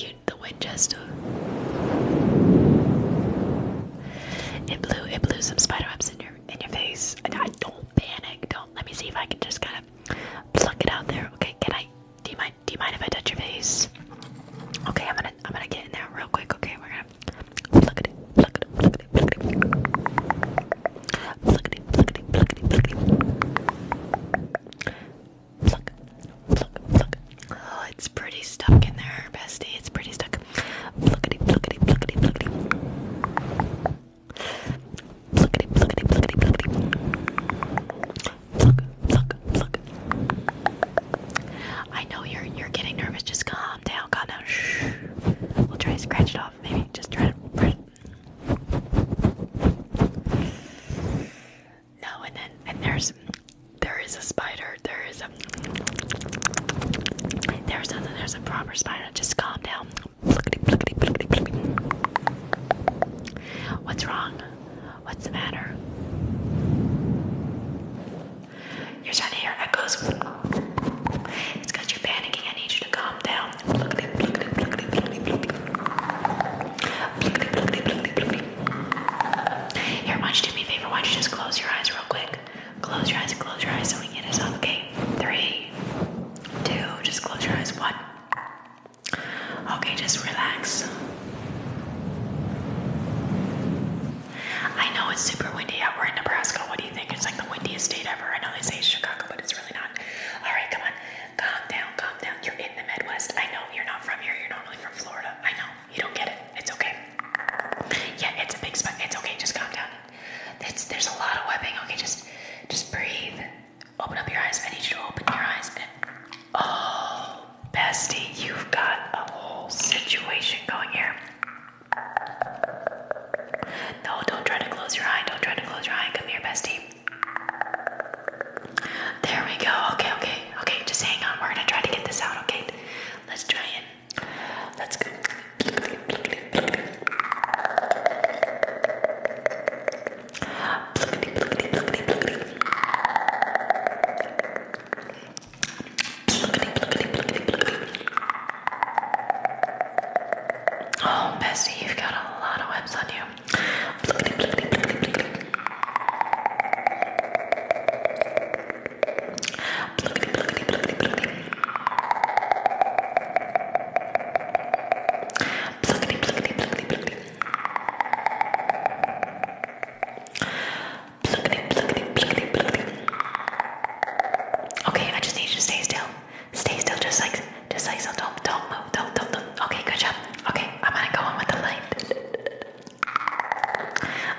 Speaker 1: you the Winchester. It blew it blew some spider in your in your face. I don't panic. Don't let me see if I can just kind of pluck it out there. Okay, can I do you mind do you mind if I touch your face? Okay, I'm gonna I'm gonna get in there real quick. Okay, we're gonna pluck it, pluck it, pluck it, Pluckity, pluckity, pluckity, pluckity. Pluck, pluck, pluck. Oh, it's pretty stuck in there, bestie. It's pretty stuck. Pluckity, pluckity, pluckity, pluckity. Pluckity, pluckity, pluckity, pluckity. Pluck, pluck, pluck. I know you're you're getting nervous. Just calm down, calm down. Shh. We'll try to scratch it off. Maybe just try to press, no, and then and there's there is a spider. There is a there's a there's a proper spider. Just calm down. What's wrong? What's the matter? You're starting to hear echoes. It's because you're panicking. I need you to calm down. Here, why don't you do me a favor? Why don't you just close your eyes real quick? Close your eyes and close your eyes so we can get us off. Okay, three, two, just close your eyes. One. Okay, just relax. I know it's super windy out. We're in Nebraska. What do you think? It's like the windiest state ever. I know they say Chicago, but it's really not. All right, come on. Calm down, calm down. You're in the Midwest. I know you're not from here. You're normally from Florida. I know. You don't get it. It's okay. Yeah, it's a big spot. It's okay. Just calm down. It's, there's a lot of webbing. Okay, just just breathe. Open up your eyes. I need you to open your eyes. And, oh, bestie, you've got a whole situation going here. No, don't try to close your eye. Don't try to close your eye. Come here, bestie. There we go. Okay, okay, okay. Just hang on. We're gonna try to get this out. Okay, let's try it. Let's go. Oh, Bessie, you've got a lot of webs on you. Okay, I just need you to stay still. Stay still, just like just like so, don't don't move, don't don't don't. Okay, good job. Okay, I'm gonna go on with the light.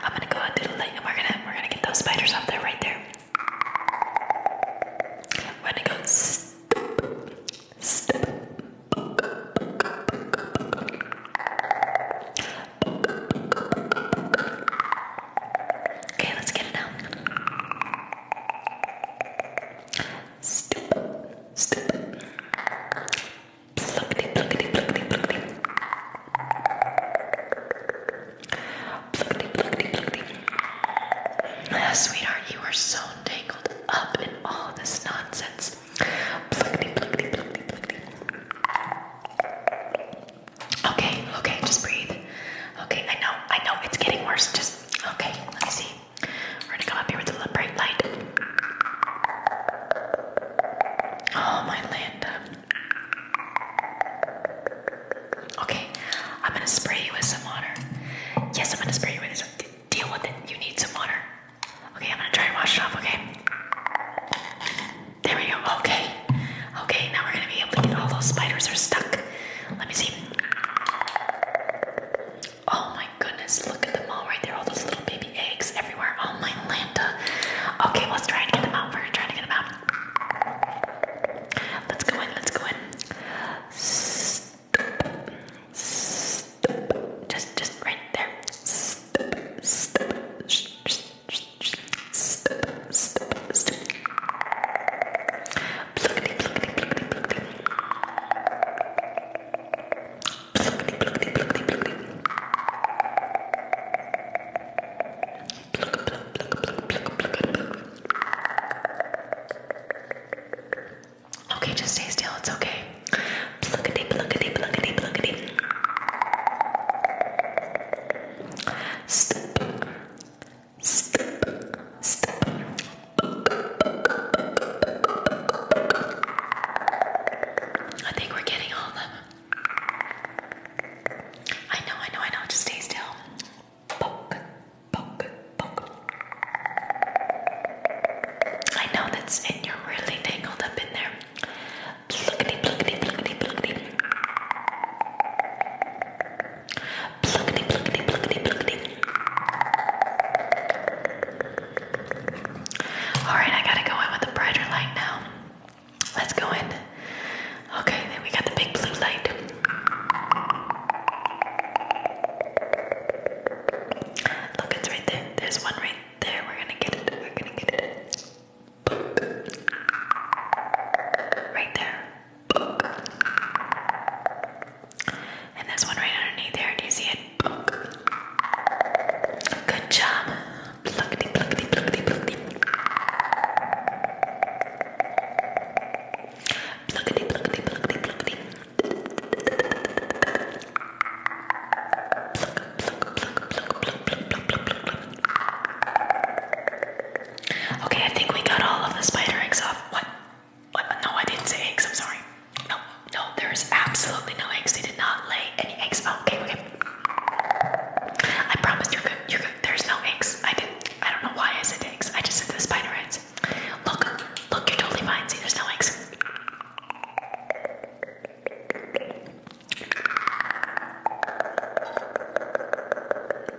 Speaker 1: I'm gonna go with the light, and we're gonna we're gonna get those spiders off there right there.
Speaker 2: We're gonna go step, step. Okay, let's get it out. Stupid,
Speaker 1: stupid. Pluckety, pluckety, pluckety, pluckety. Pluckety, pluckety, pluckety. Ah, sweetheart, you are so tangled up in all this nonsense. Okay, okay, just breathe. Okay, I know, I know, it's getting worse. Just Okay, let me see. We're gonna come up here with a little bright light. Oh, my land! Okay, I'm gonna spray you with some water. Yes, I'm gonna spray you with this. Deal with it. You need some water. Okay, I'm gonna try and wash it off, okay? There we go. Okay. Okay, now we're gonna be able to get all those spiders are stuck. Let me see. Oh my goodness, look at them all right there. All those little baby eggs everywhere. Oh my Lanta. Okay, let's try to get them out. We're gonna get them out. Let's go in, let's go in. Just just right there. Okay, just stay still. It's okay. Pluckity, pluckity, pluckity, pluckity.
Speaker 2: Step, I think we're getting all of them. I know, I know, I know. Just stay still. Poke, poke, poke.
Speaker 1: I know that's and you're really tangled up in there. Pluckety, pluckety, pluckety, pluckety. Pluckety, pluckety, pluckety, pluckety. Alright, I gotta go in with the brighter light now. Let's go in. Okay, then we got the big blue light. Look, it's right there. There's one right there. We're gonna get it. We're gonna get it. Right there. And this one right underneath there, do you see it? Good job. Okay, I think we got all of the spider eggs off. What? no, I didn't say eggs. I'm sorry. No, no, there is absolutely no eggs. They did not lay any eggs. Oh, okay, okay. I promised you're good. You're good. There's no eggs. I didn't. I don't know why I said eggs. I just said the spider eggs. Look, look, you're totally fine. See, there's no eggs.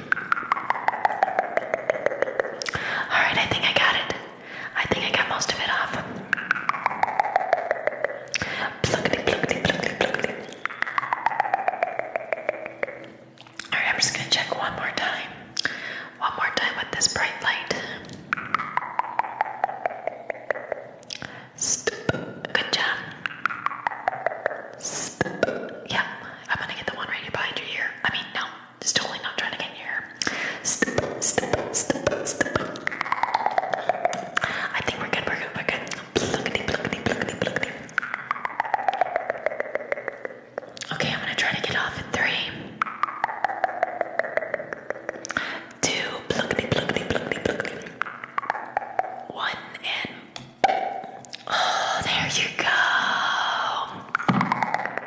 Speaker 1: Alright, I think I got it. I think I got most of it off. Pluckety, pluckety, pluckety, pluckety. Alright, I'm just gonna check one more time. One more time with this bright light. Stop. Good job. Stop. Yep. I'm gonna get the one right here behind your ear. I mean, no, just totally not trying to get near. I think we're good, we're good, we're good. Okay, I'm gonna try to get off in three. Two, One, and Oh, there you go. Alright,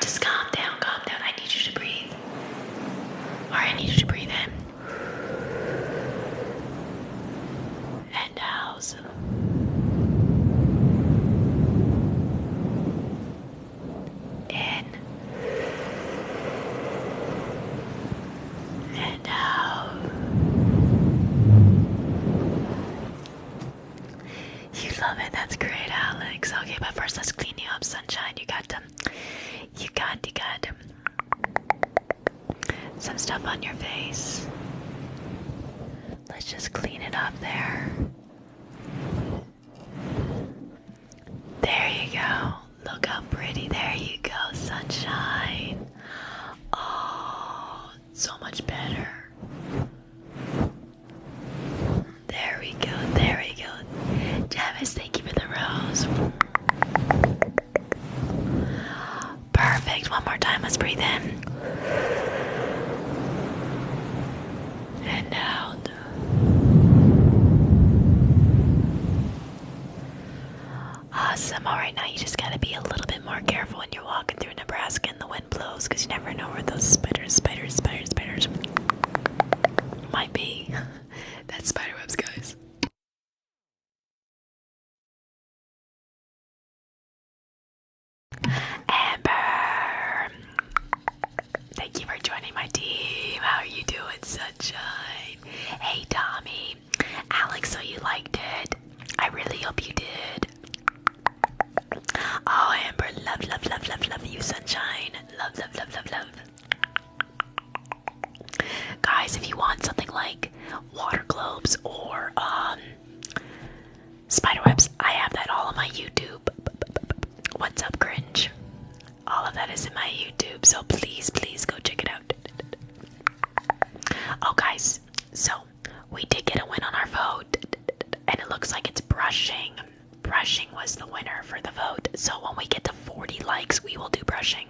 Speaker 1: just calm down, calm down. I need you to breathe. Alright, I need you to breathe in. And out. In. And out. You love it. That's great, Alex. Okay, but first let's clean you up, sunshine. You got them. Um, you got, you got some stuff on your face. Let's just clean it up there. There you go. Look how pretty. There you go, sunshine. Oh, so much better. There we go, there we go. Javis, thank you for the rose. Perfect. One more time. Let's breathe in. And out. Awesome. All right, now you just got to be a little bit more careful when you're walking through Nebraska in the blows because you never know where those spiders, spiders, spiders, spiders might be. That's spiderwebs, guys.
Speaker 3: Amber, thank you for joining my team. How are you doing, sunshine? Hey,
Speaker 1: Tommy, Alex, so you liked it? I really hope you did. Oh, Amber, love, love, love, love, love you, sunshine. Love, love, love, love, love. Guys, if you want something like water globes or um, spider webs, I have that all on my YouTube. What's up, cringe? All of that is in my YouTube, so please, please go check it out. Oh, guys, so we did get a win on our vote, and it looks like it's brushing. Brushing was the winner
Speaker 3: for the vote. So when we get to 40 likes, we will do brushing.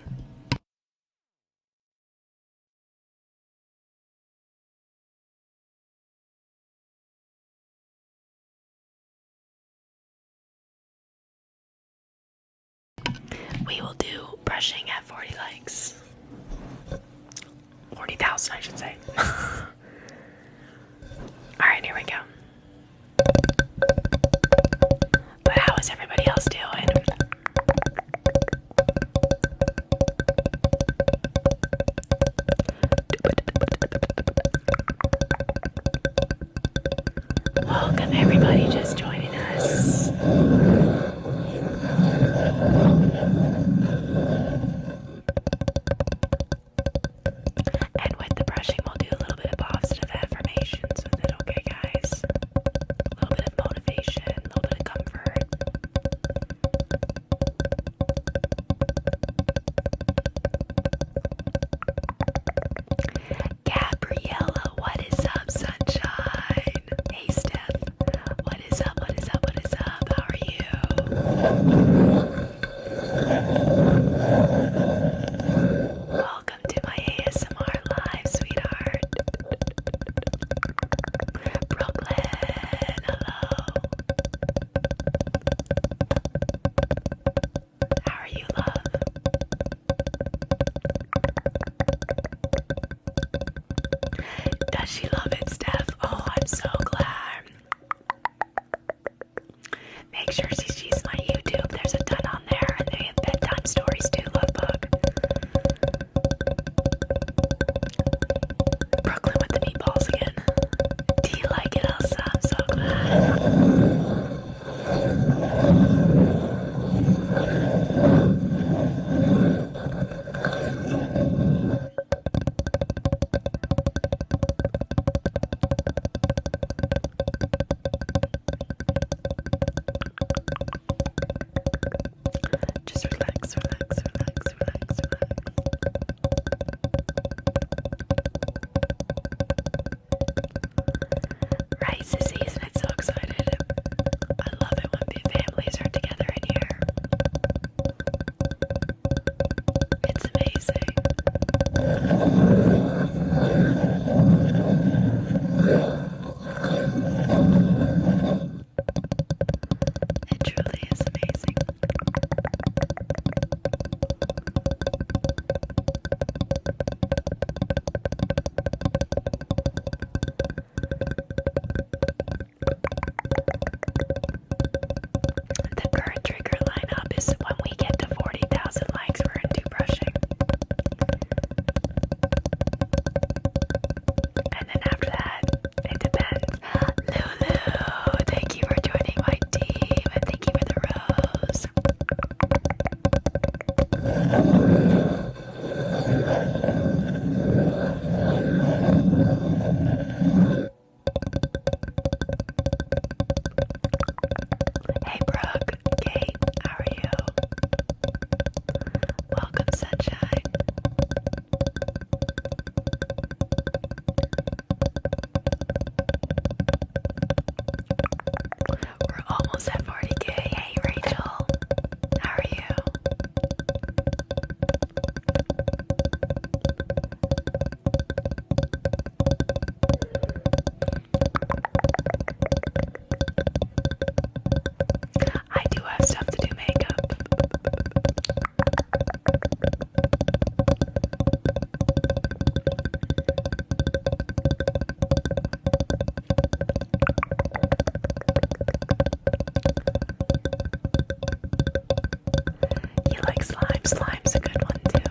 Speaker 3: We will do brushing at 40 likes
Speaker 1: forty thousand, I should say. All right, here we go. But how is everybody else doing? Welcome, everybody, just joining us. And with the brushing, we'll do a little bit of positive affirmations okay, guys? A little bit of motivation, a little bit of comfort. Gabriella, what is up, sunshine? Hey, Steph, what is up? What is up? What is up? How are you? Welcome to my ASMR live, sweetheart. Brooklyn, hello. How are you, love? Does she love it, Steph? Oh, I'm so glad. Make sure she sees my YouTube. There's a ton on there. And they have bedtime stories too, love bug. Brooklyn with the meatballs again. Do you like it, Elsa? I'm so glad. Just relax, relax, relax, relax, relax. Rice is season, I'm so excited. I love it when the families are together in here. It's amazing. It truly is amazing. The current trigger lineup is when we get to 40,000 likes, we're into brushing. And then after that, it depends. Lulu, thank you for joining my team and thank you for the rose. Hey Brooke, Kate, how are you? Welcome, sunshine. We're almost at 40k. Hey Rachel, how are you? I do have stuff to do makeup. You like slime? Slime's a good one too.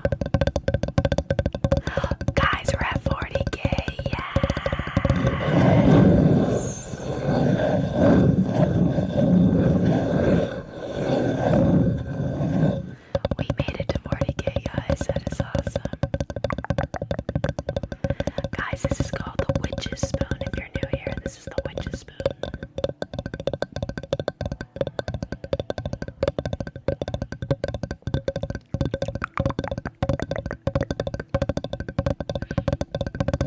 Speaker 1: Guys, we're at 40k. Yes! We made it to 40k, guys. That is awesome. Guys, this is called the Witch's Spoon. If you're new here, this is the Witch's Spoon.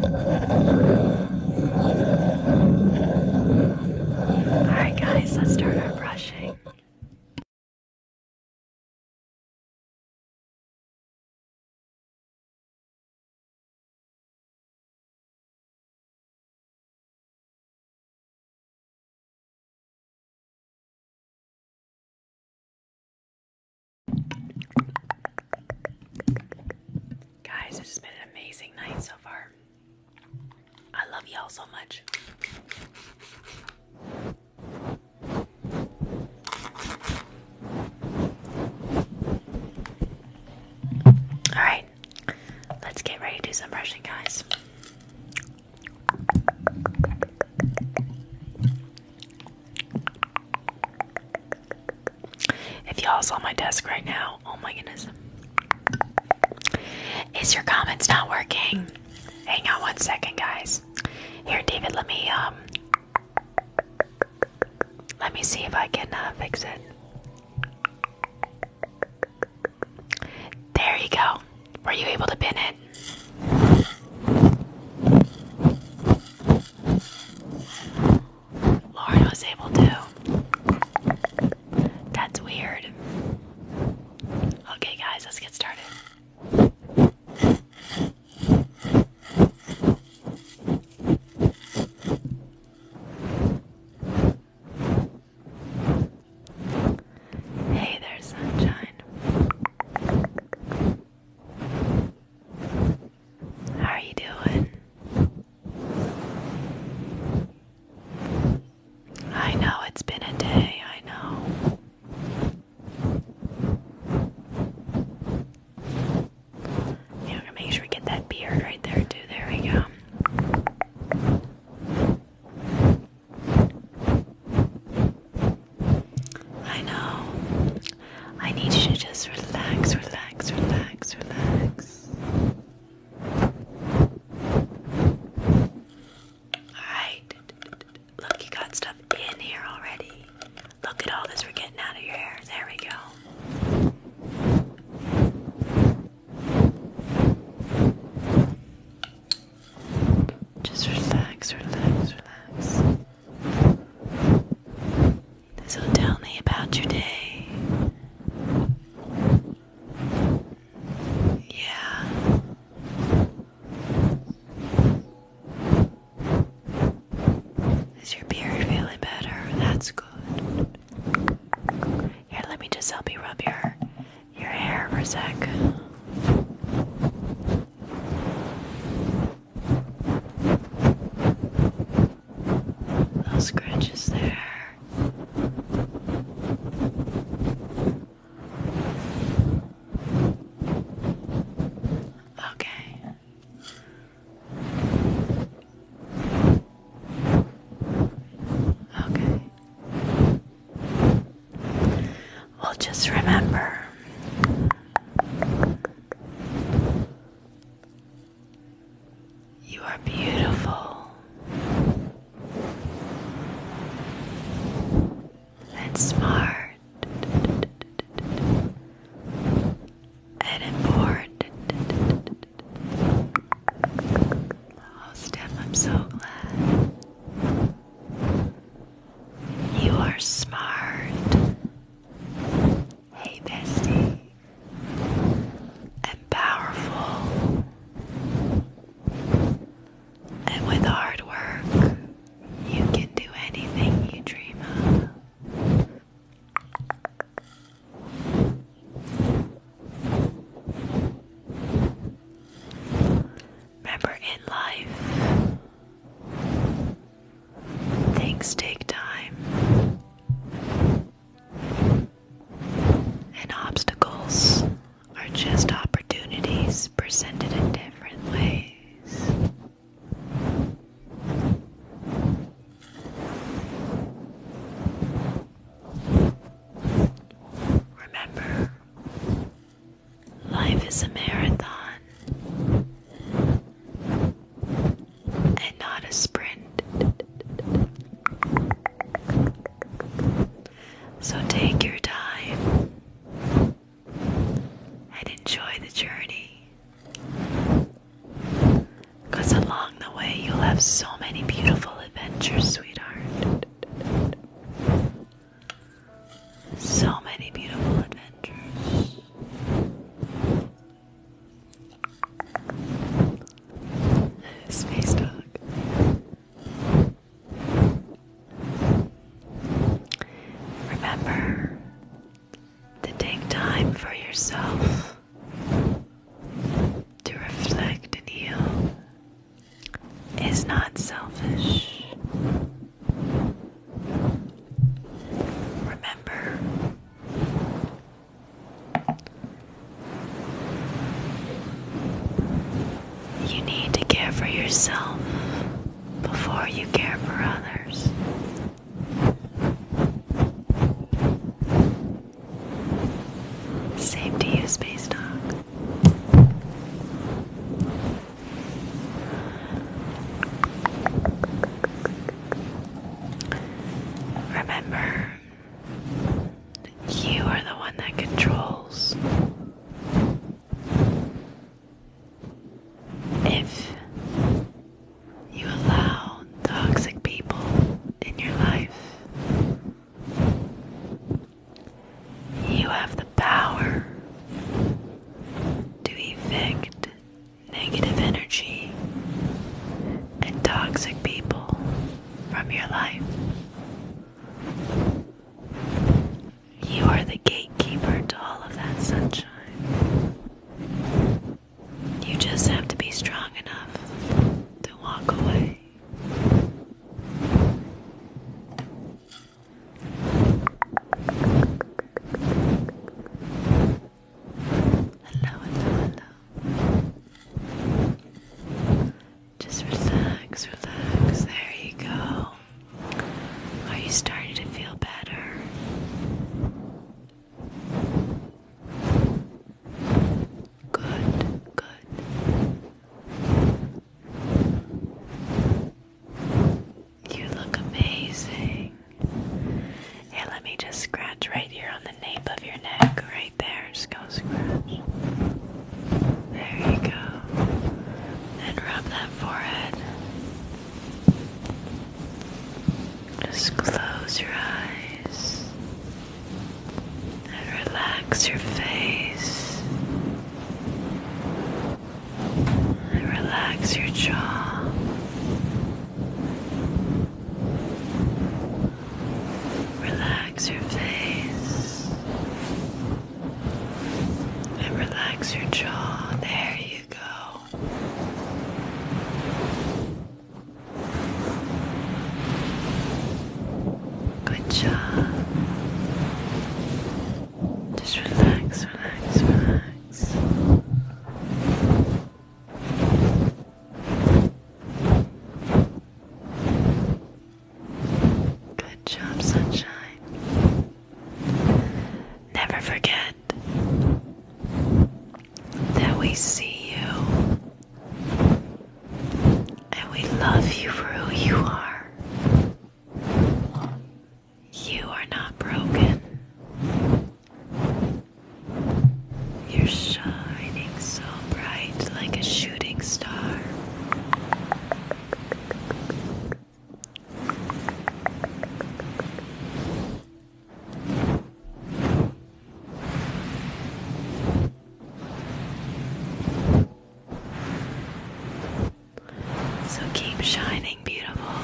Speaker 3: Alright, guys, let's start our brushing. Guys, this has been an amazing night so far.
Speaker 2: I love y'all so much. Alright, let's get ready to do some brushing, guys. If y'all
Speaker 1: saw my desk right now, oh my goodness. Is your comments not working? Hang on one second, guys. Here, David, let me um let me see if I can uh, fix it. There you go. Were you able to pin it? Lauren was able to. That's weird. Okay, guys, let's get started. Hey there,
Speaker 2: sunshine. How
Speaker 1: are you doing? I know it's been a day, I know. Yeah, I'm gonna make sure we get that beard right there too. There we go. I know. I need you to just relax, relax, relax, relax. Alright. Look, you got stuff in here already. Look at all this we're getting out of your hair. There we go. Just relax, relax, relax. So tell me about your day. Yeah. Is your beard feeling better? That's good. Here, let me just help you rub your your hair for a sec. Little scratches there. Okay. Okay. Well, just remember you are beautiful and smart and important. Oh, Steph, I'm so glad. You are smart. Hey, bestie. And powerful. And with hard work, you can do anything you dream of. Remember, in life, things take time, and obstacles are just opportunities presented in different ways. Remember, life is a marathon and not a sprint. So take your time and enjoy the journey. Because along the way, you'll have so many beautiful adventures, sweetheart. So many beautiful adventures. Space dog. Remember to take time for yourself. To reflect and heal is not selfish. Remember, you need to care for yourself before you care for others. Same to you, Space Dog. Remember, you are the one that controls. If you allow toxic people in your life. You have the power to evict negative energy and toxic people from your life. You are the gatekeeper to all of that sunshine. You just have to be strong enough to walk away. Hello, hello, hello. Just relax, relax. There you go. Are you starting to feel better? Good, good. You look amazing. Here, let me just scratch right here on the nape of your neck, right there. Just go scratch. There you go. And rub that forehead. Just close your eyes and relax your face and relax your jaw. Relax your face and relax your jaw. There you go. Good job. Just relax, relax, relax. Good job, sunshine. Never forget that we see you and we love you for who you are. You are not broken. You're shining so bright like a shooting star. So keep shining, beautiful.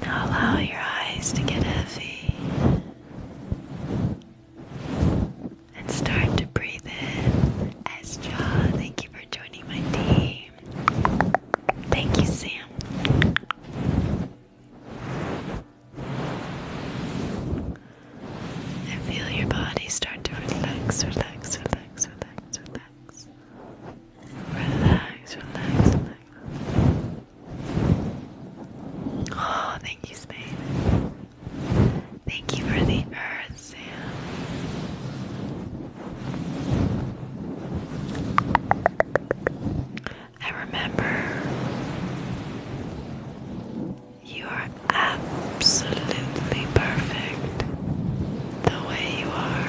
Speaker 1: Now allow your eyes to get heavy. And start to breathe in. Estra, thank you for joining my team. Thank you, Sam. And feel your body start to relax, relax, relax, relax, relax. Relax, relax, relax. Oh, thank you, Spain. Thank you for the earth, Sam. I remember you are absolutely perfect the way you are.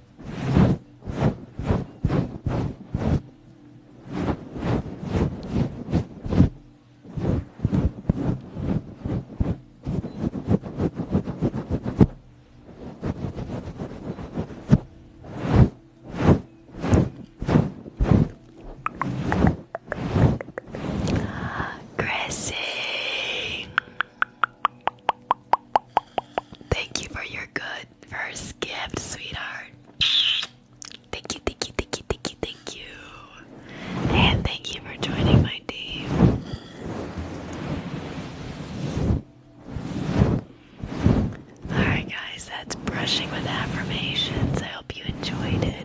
Speaker 2: Chrissy,
Speaker 1: Thank you for your good first gift, sweetheart. Thank you, thank you, thank you, thank you, thank you. And thank you for joining my team. Alright, guys, that's brushing with affirmations. I hope you enjoyed it.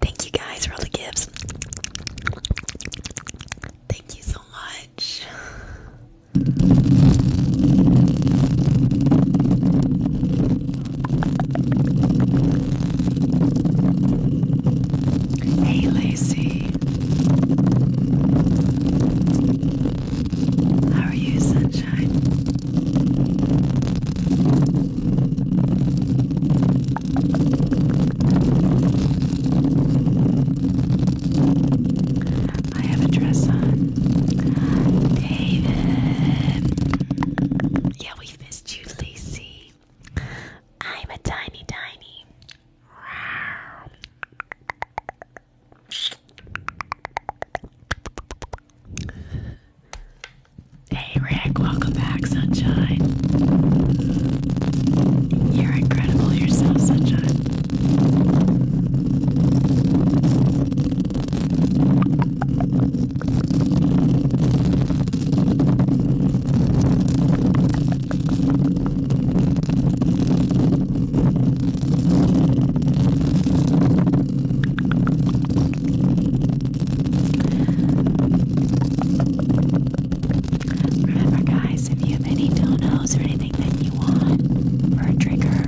Speaker 1: Thank you guys for all the gifts. Thank you so much. Hey, Lacey. How are you, sunshine? I have a dress on. David. Yeah, we missed you, Lacey. I'm a tiny, tiny. Hey Rick, welcome back, Sunshine. You're incredible yourself, Sunshine. Remember, guys, if you have any donos or anything that you want for a trigger,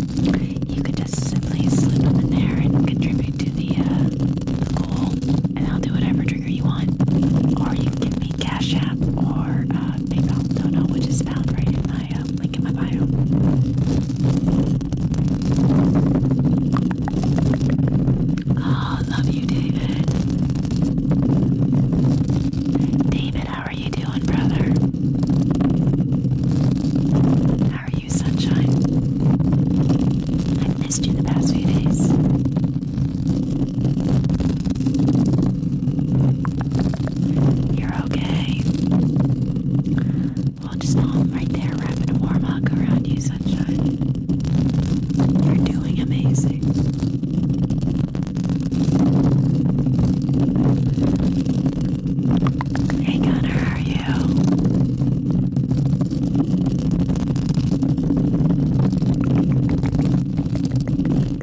Speaker 1: you could just simply slip them in there and contribute to the, uh, the goal, and I'll do whatever trigger you want. Or you can Cash App or uh, PayPal Dono, which is found right in my um, link in my bio. Oh, love you, David. David, how are you doing, brother? How are you, sunshine? I've missed you the past few days. You're okay. Well, just home right there, wrapping a warm hug around you, sunshine. You're doing amazing. Hey Connor, how are you? Doug,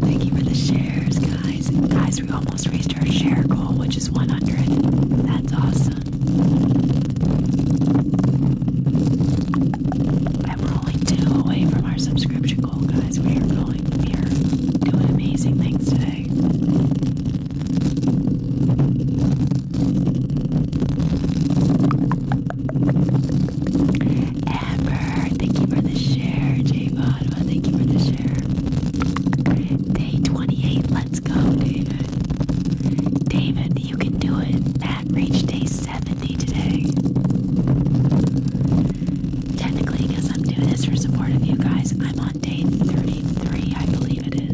Speaker 1: thank you for the shares, guys. Guys, we almost reached our share goal, which is 100. That's awesome. And we're only two away from our subscription goal, guys. We are going, we are doing amazing things today. Amber, thank you for the share. J thank you for the share. Day 28, let's go, David. David, you can do it. Matt reach day 70 today. Technically, because I'm doing this for support of you guys, I'm on day 33, I believe. Thirty-three.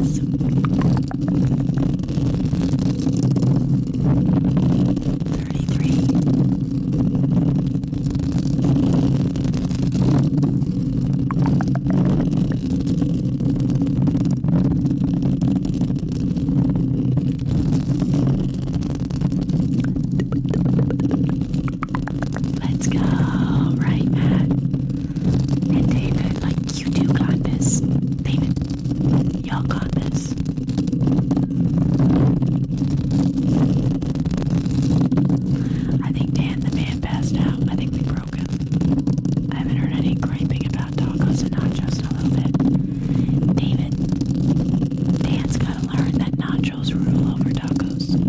Speaker 1: Let's go, right, Matt and David. Like you do got this, David. Y'all got this. I think Dan the man passed out. I think we broke him. I haven't heard any griping about tacos and nachos in a little bit. David, Dan's gotta learn that nachos rule over tacos.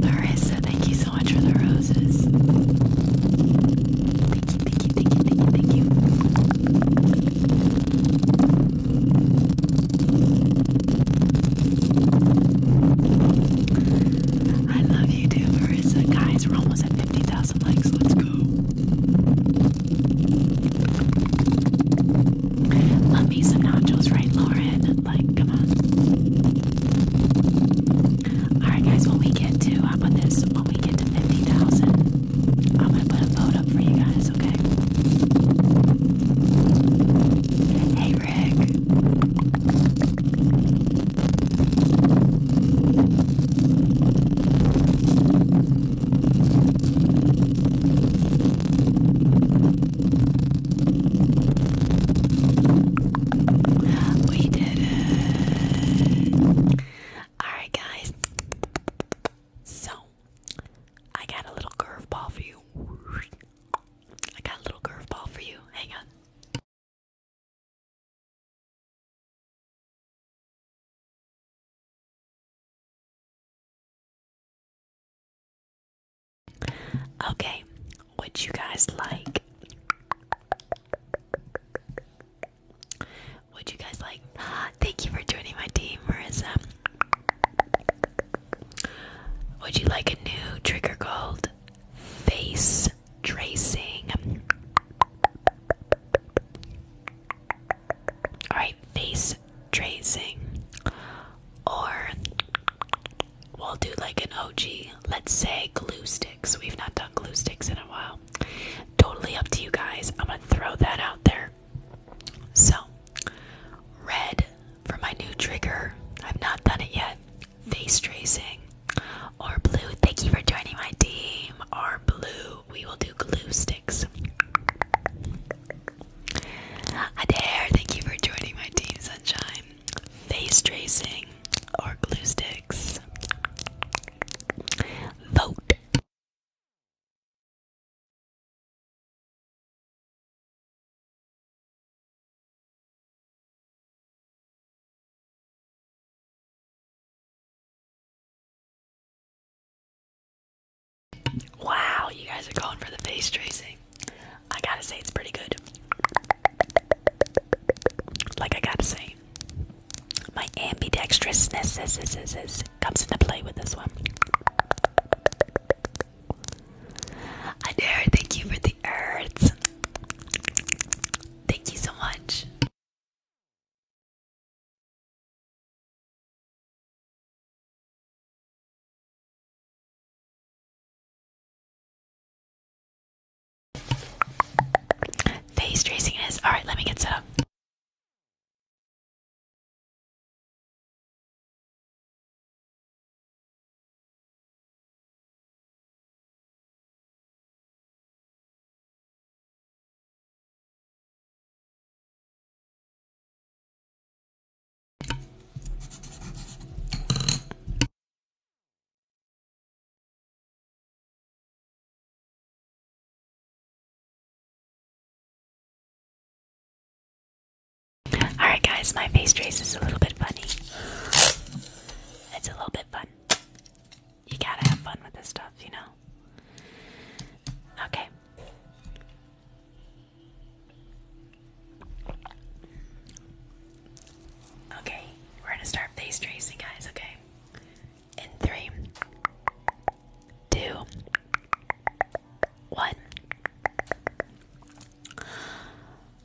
Speaker 1: Marissa, thank you so much for the roses. Thank you, thank you, thank you, thank you, thank you. I love you too, Marissa. Guys, we're almost at 50,000 likes. Let's go. Love me some nachos, right, Lauren? Like, come on. Alright, guys, when we get to, how about this? When we get to 50,000, I'm gonna put a vote up for you guys, okay? Hey, Rick. We
Speaker 4: did it. Alright, guys. So, I got a little curveball for you. I got a
Speaker 3: little curveball for you. Hang on. Okay, would you guys like?
Speaker 1: Would you guys like? Thank you for joining my team, Marissa. Would you like a new trigger called face tracing? Alright, face tracing, or we'll do like an OG, let's say glue sticks. We've not done glue sticks in a while. Totally up to you guys. I'm going to throw that out there. So, red for my new trigger. I've not done it yet. Face tracing or blue. Thank you for joining my team. Or blue. We will do glue sticks. Adair, thank you for joining my team, Sunshine. Face tracing or glue sticks. Vote. Wow, you guys are going for the face tracing. I gotta say, it's pretty good. Like, I gotta say, my ambidextrousness comes into play with this one. I dare thank you for the arts. Thank you so much.
Speaker 3: Face tracing is. Alright, let me get set up. Alright, guys, my face trace is a little bit funny. It's a little bit fun. You gotta have fun with this stuff, you know?
Speaker 1: Okay. Okay, we're gonna start face tracing, guys, okay? In three, two, one.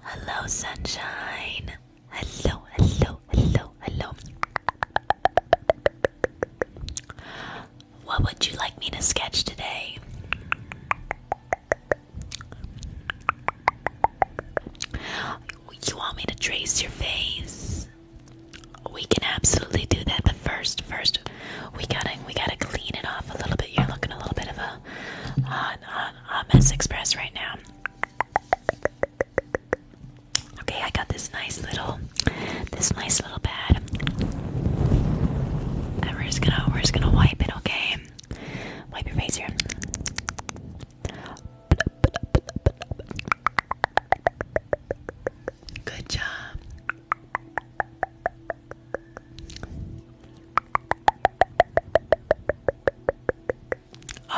Speaker 1: Hello, sunshine. Hello, hello, hello, hello. What would you like me to sketch today? You want me to trace your face? We can absolutely do that. but first, first, we gotta, we gotta clean it off a little bit. You're looking a little bit of a hot, hot, hot mess express right now. Okay, I got this nice little this nice little bed. we're just gonna we're just gonna wipe it, okay? Wipe your face here. Good job.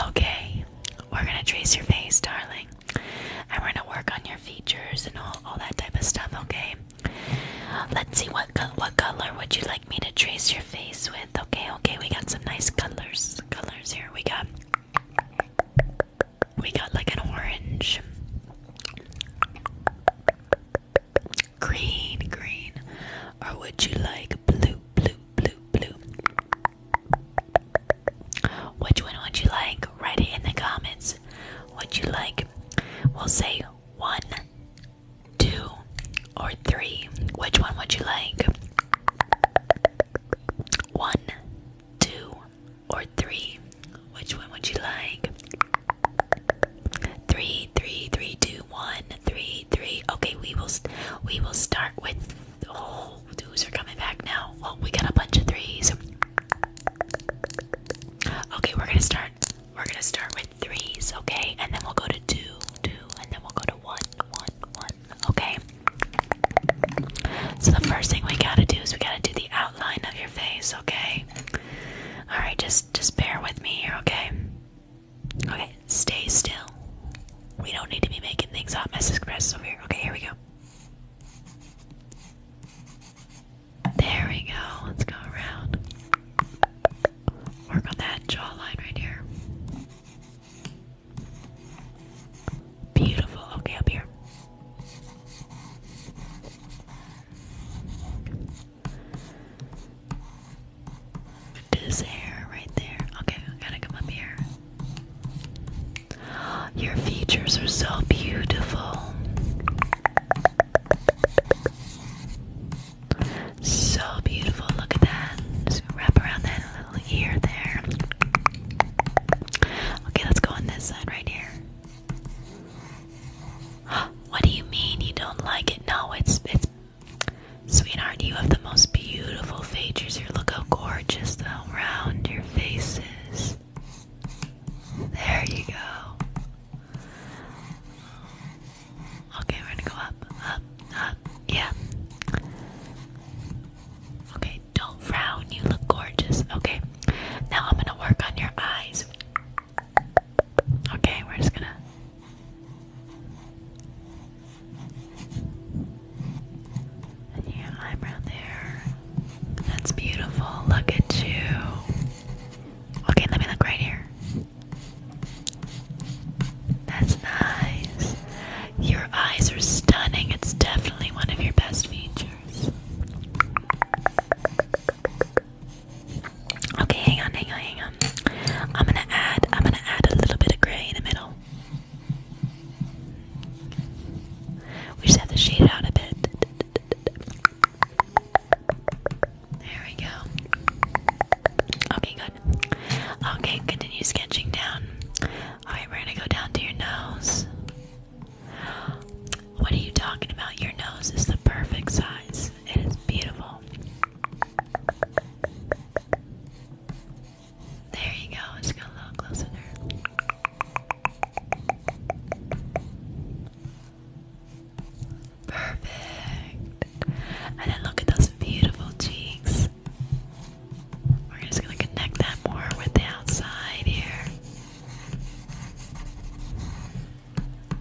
Speaker 1: Okay, we're gonna trace your face, darling. I'm gonna work on your features and all, all that type of stuff, okay? Let's see what what color would you like me to trace your face with? Okay, okay, we got some nice colors. Colors here. We got we got like an orange, green, green, or would you like blue, blue, blue, blue? Which one would you like? Write it in the comments what you like. We'll say one, two, or three. Which one would you like? One, two, or three. Which one would you like? Three, three, three, two, one, three, three. Okay, we will we will start with. Oh, twos are coming back now. Well, we got a bunch of threes. Okay, we're gonna start. We're gonna start with threes, okay? And then we'll go to two, two, and then we'll go to one, one, one, okay? So the first thing we gotta do is we gotta do the outline of your face, okay? Alright, just just bear with me here, okay? Okay, stay still. We don't need to be making things up, Mrs. Chris over here. Okay, here we go. There we go. Let's go around. Work on that jawline right here. Beautiful. Okay, up here. This hair right there. Okay, gotta come up here. Your features are so beautiful. So beautiful, look at that. Just wrap around that little ear there. Okay, let's go on this side right here. What do you mean you don't like it? No, it's it's sweetheart, you have the most beautiful features here. Look how gorgeous the round your face is. There you go. Okay, we're gonna go up, up, up. Yeah. Okay, don't frown. You look gorgeous. Okay, now I'm gonna work on your eyes. Okay, we're just gonna. And your eyebrow there. That's beautiful. Look at you. Okay, let me look right here. That's nice. Your eyes are stunning. It's definitely one of your best features. Okay, hang on, hang on, hang on. I'm gonna add I'm gonna add a little bit of gray in the middle. We just have to shade it out a bit. There we go. Okay, good. Okay, continue sketching down. Alright, we're gonna go down to your nose. What are you talking about? Your nose is the perfect size, it is beautiful. There you go. Just got a little closer Perfect. And then look at those beautiful cheeks. We're just gonna connect that more with the outside here.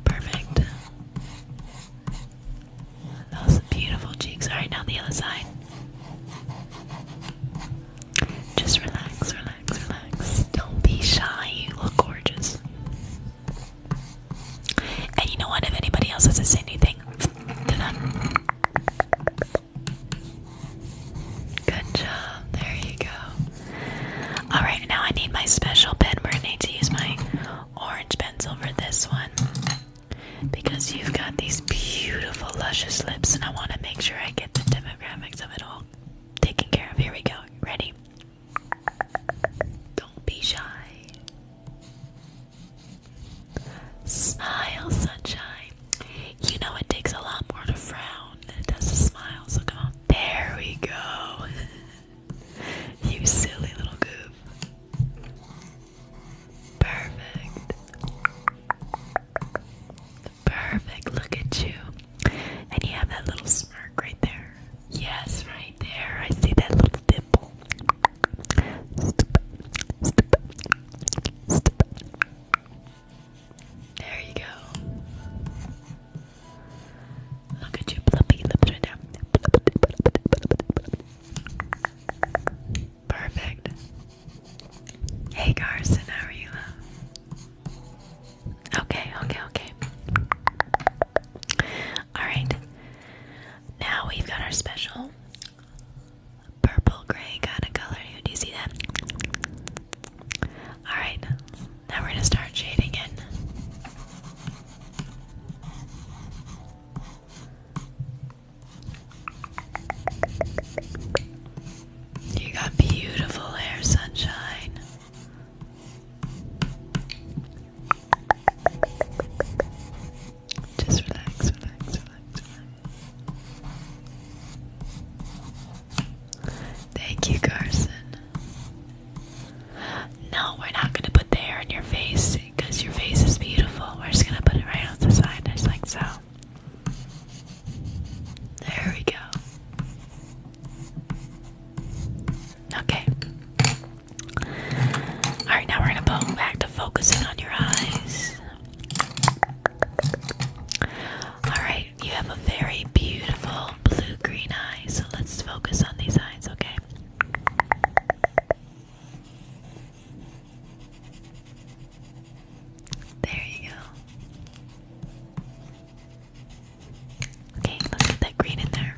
Speaker 1: Perfect. Those beautiful cheeks. Alright, now the other side. Just relax, relax, relax. Don't be shy. You look gorgeous. And you know what? If anybody else has to say anything good job. There you go. Alright, now I need my special pen. We're going to need to use my orange pencil for this one because you've got these beautiful, luscious lips, and I want to make sure I get the demographics of it all Taking care of. Here we go. Ready?
Speaker 2: Don't be shy. Smile,
Speaker 1: sunshine. You know it takes a lot more to frown than it does to smile, so come on. There we go. you silly little goof. Perfect. Perfect. Look at you. And you have that little smirk right there. Yes, right there. I see that little dimple. There you go. Look at you, fluffy lips right now. Perfect. Hey Carson, how are you? Okay, okay, okay. Alright. Now we've got our special purple gray kind of color Do you see that? Alright. Now we're gonna start shading in. You got beautiful hair, sunshine. Just relax, relax, relax, relax. Thank you, Carson. No, we're not gonna put the hair on your face because your face is beautiful. We're just gonna put it right on the side, just like so. There we go. Okay. Alright, now we're going to go back to focusing on your eyes. Alright, you have a very beautiful blue green eye, so let's focus on these eyes, okay? There you go. Okay, let's get that green in there.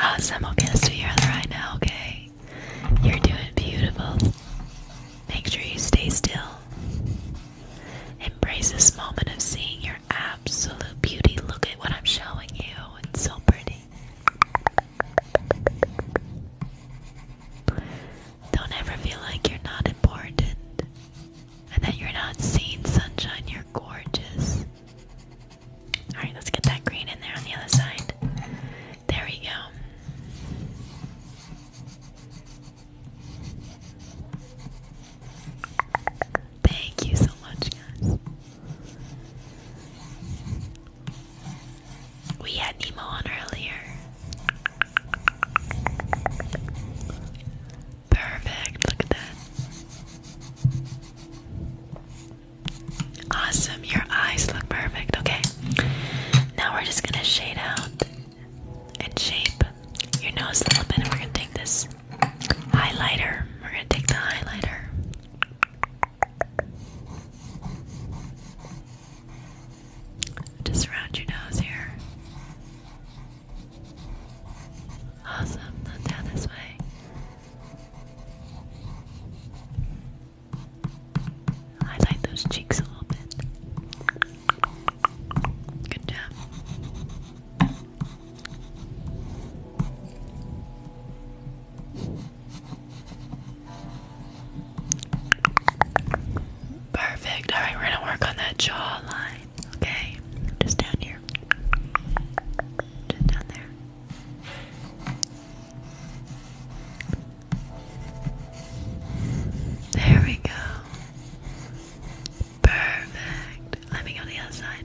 Speaker 1: Awesome, okay, let's do your other now, okay? You're doing beautiful. Make sure you stay still. Embrace this moment of seeing your absolute beauty. Look at what I'm showing you. It's so pretty. Don't ever feel like you're not important and that you're not seen, sunshine. You're gorgeous. Alright, let's get that green in there on the other side. There we go. Thank you so much, guys. We had Nemo on earlier. Perfect, look at that. Awesome, your eyes look perfect. Okay, now we're just gonna shade out and shape your nose a little bit, and we're gonna take this highlighter. We're gonna take the highlighter. Just around your nose here. Awesome. down this way. Highlight those cheeks a little bit. Good job. Perfect. All right, we're gonna work on that jawline. Okay, just down here, just down there. There we go. Perfect. Let me go the other side.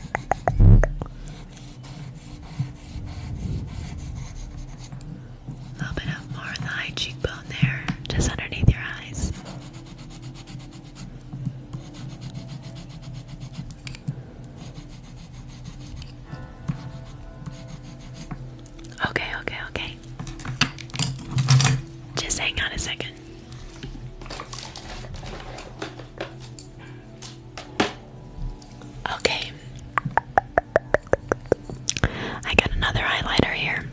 Speaker 1: A little bit more of the high cheekbone there, just underneath your eyes. Okay, okay, okay. Just hang on a second. Okay. I got another highlighter here.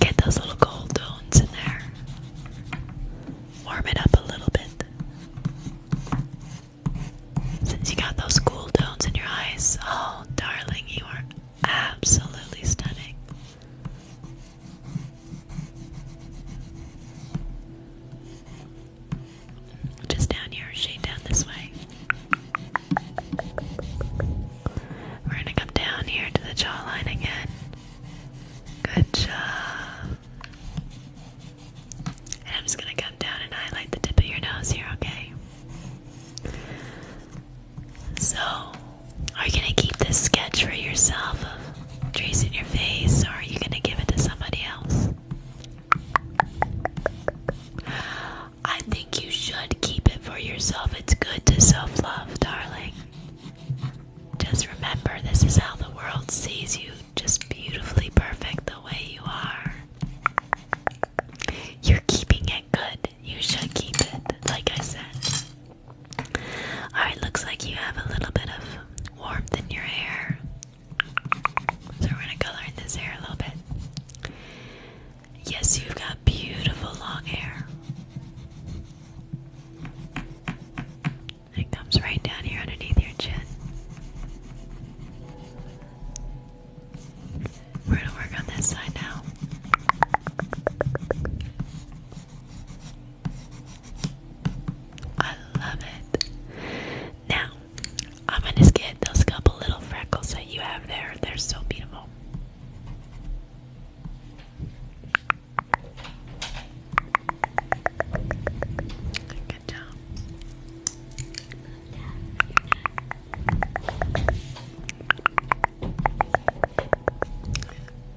Speaker 1: Get those little gold tones in there warm it up a little bit. Since you got those cool tones in your eyes, oh darling, you are absolutely stunning. Just down here, shade down this way. We're gonna come down here to the jawline again. Good job. I'm just gonna come down and highlight the tip of your nose here, okay? So, are you gonna keep this sketch for yourself of tracing your face, or are you gonna give it to somebody else? I think you should keep it for yourself. It's good to self love, darling. Just remember, this is how the world sees you just beautifully perfect the way you are. You're keeping it good. You should keep it, like I said. Alright, looks like you have a little bit of warmth in your hair. So we're gonna color this hair a little bit. Yes, you've got beautiful long hair. It comes right down here underneath your chin. We're going to work on this side now. I love it. Now, I'm going to get those couple little freckles that you have there. They're so beautiful. Good job.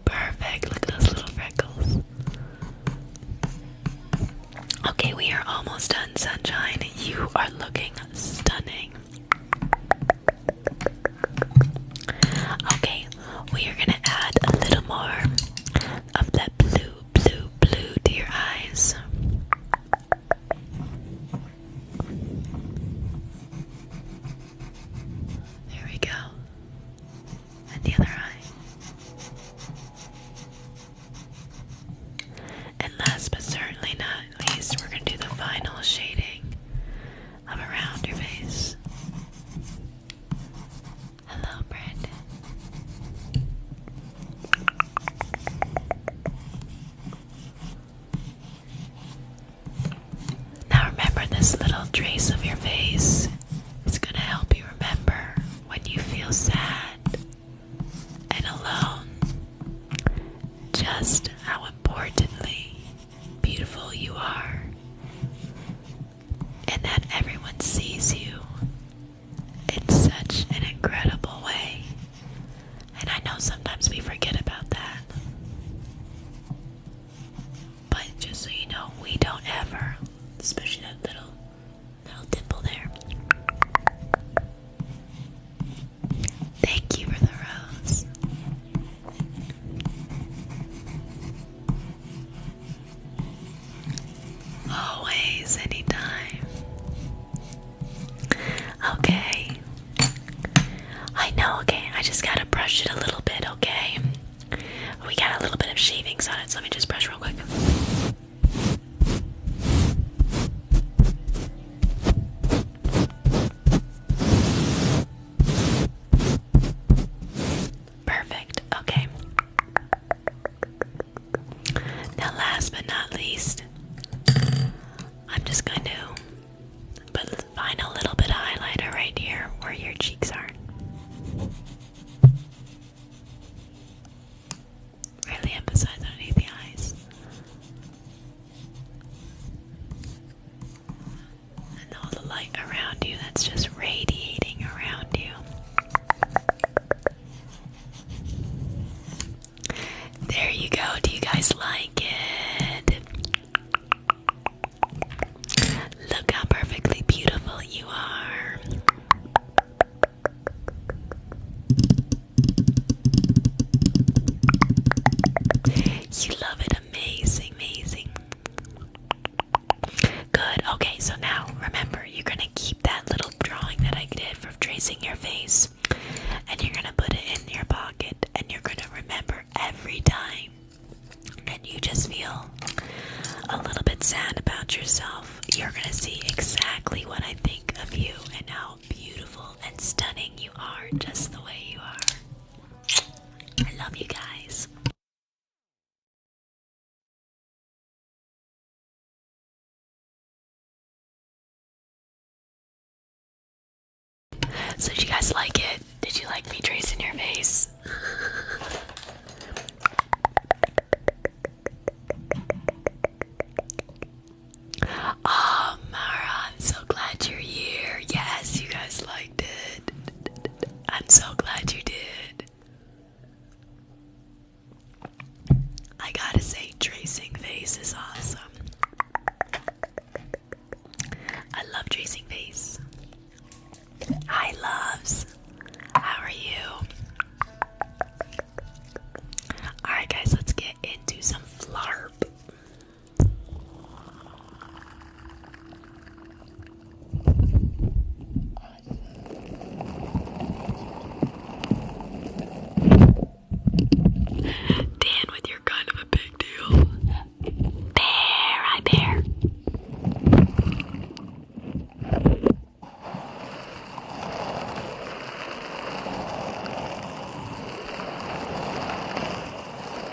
Speaker 1: Perfect. Look at those little freckles. Okay, we are almost done, sunshine. You are looking stunning. Okay, we are gonna add a little more of that blue blue, blue dear eyes. There we go. And the other eye. And last but certainly not least, we're going to do the final shading of around your face. Hello, Brandon. Now remember this little trace of your face. It's going to help you remember when you feel sad and alone just how importantly beautiful you are and that everyone sees you in such an incredible way. And I know sometimes we forget about that. But just so you know, we don't ever, especially that little little dimple there. Thank you for the rose. Always, anytime. Okay. I know, okay. I just gotta brush it a little bit, okay? We got a little bit of shavings on it, so let me just brush real quick. Perfect, okay. Now, last but not least, I'm just going to put, find little bit of highlighter right here where your cheeks are. Really emphasize underneath the eyes. And all the light around you that's just radiating around you. There you go. Do you guys like it? Look how perfectly beautiful you are. You love it. Amazing, amazing. Good. Okay, so now remember, you're going to keep that little drawing that I did for tracing your face, and you're going to put it in your pocket, and you're going to remember every time and you just feel a little bit sad about yourself. You're going to see exactly what I think of you and how beautiful
Speaker 3: and stunning you are, just the way you are. I love you guys. So did you guys like it? Did you like me tracing your face?
Speaker 1: oh Mara, I'm so glad you're here. Yes, you guys liked it. I'm so glad you did. I gotta say, tracing face is awesome. I love tracing face. Hi, loves. How are you? Alright, guys, let's get into some flarp. Dan with your kind of a big deal. Bear, I bear.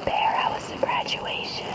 Speaker 1: Bear, how was the graduation?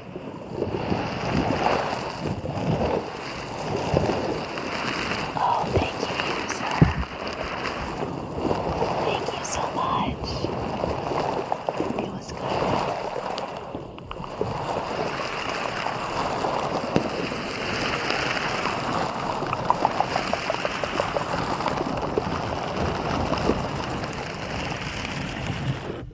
Speaker 1: Oh, thank you, user. Thank you so much. It was good.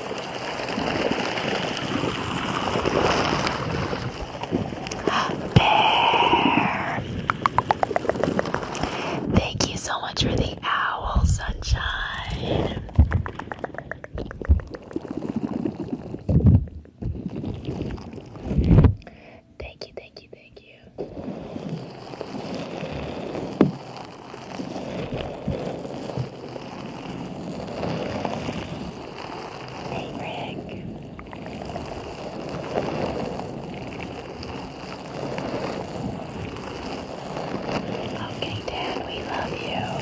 Speaker 1: Bear. Thank you so much for the owl, sunshine.
Speaker 2: Thank you, thank you, thank you. Hey, Rick. Okay, Dad, we love you.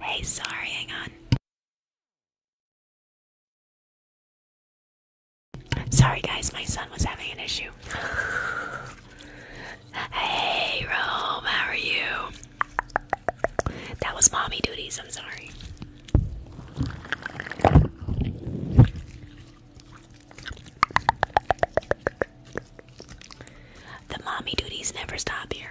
Speaker 3: Hey, sorry, hang on. Sorry, guys, my
Speaker 4: son
Speaker 1: was having an issue. hey, Rome, how are you? That was mommy duties, I'm sorry. The mommy duties never stop here.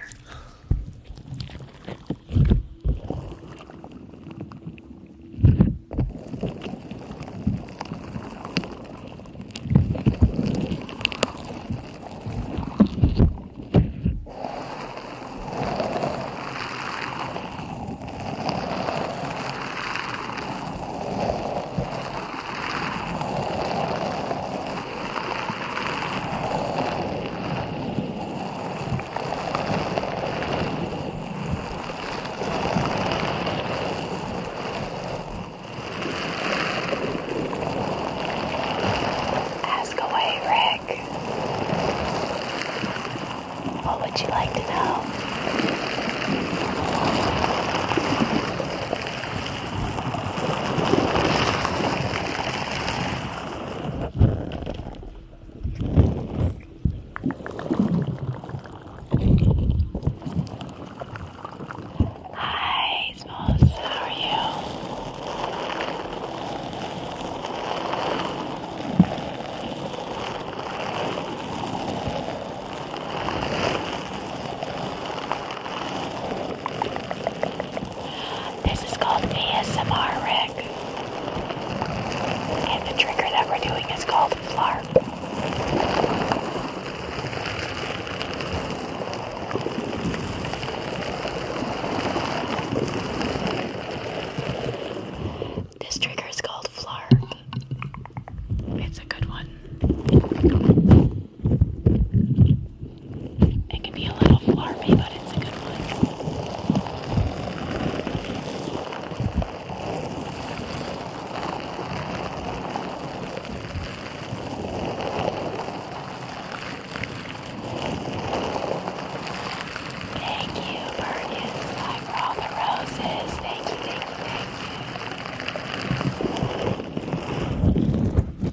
Speaker 1: Ask away, Ray. What would you like to know? Hi, Smalls. How are you? This is called ASMR Rick. And the trigger that we're doing is called FLARP. This trigger is called Flarp. It's a good one. It can be a little flarpy, but it's a good one. Thank you, Bergen, for all the roses. Thank you, thank you, thank you.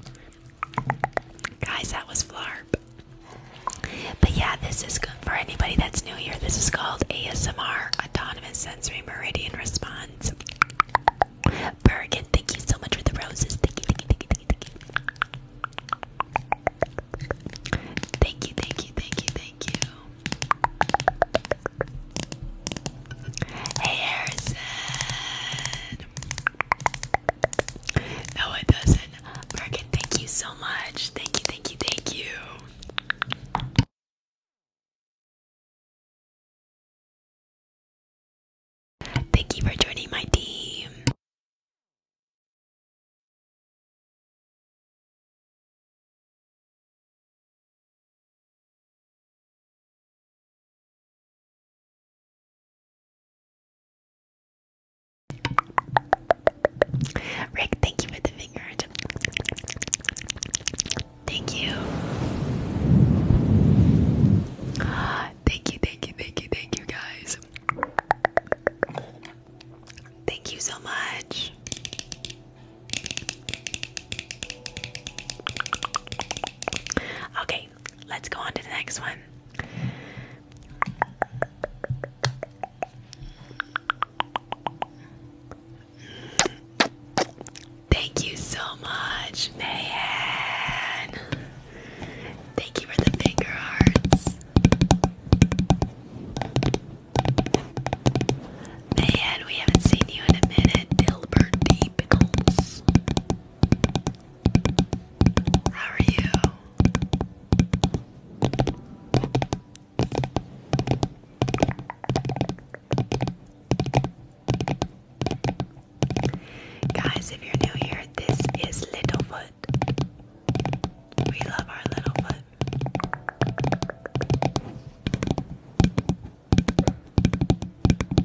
Speaker 1: Guys, that was Flarp. But yeah, this is good for anybody that's new here. This is called ASMR Autonomous Sensory Meridian Response. Bergen, thank you so much for the roses. Thank you, thank you, thank you, thank you. Hey, Harrison. No, it doesn't. Morgan, thank you so much. Thank you, thank you, thank
Speaker 4: you. Thank you for joining my team.
Speaker 1: Rick, thank you for the finger. Thank you. Thank you, thank you, thank you, thank you guys. Thank you so much. Okay, let's go on to the next one. Thank you so much, man. Thank you for the finger hearts. Man, we haven't seen you in a minute, Dilbert D. How are you? Guys, if you're new here, this is Littlefoot. We love our little foot.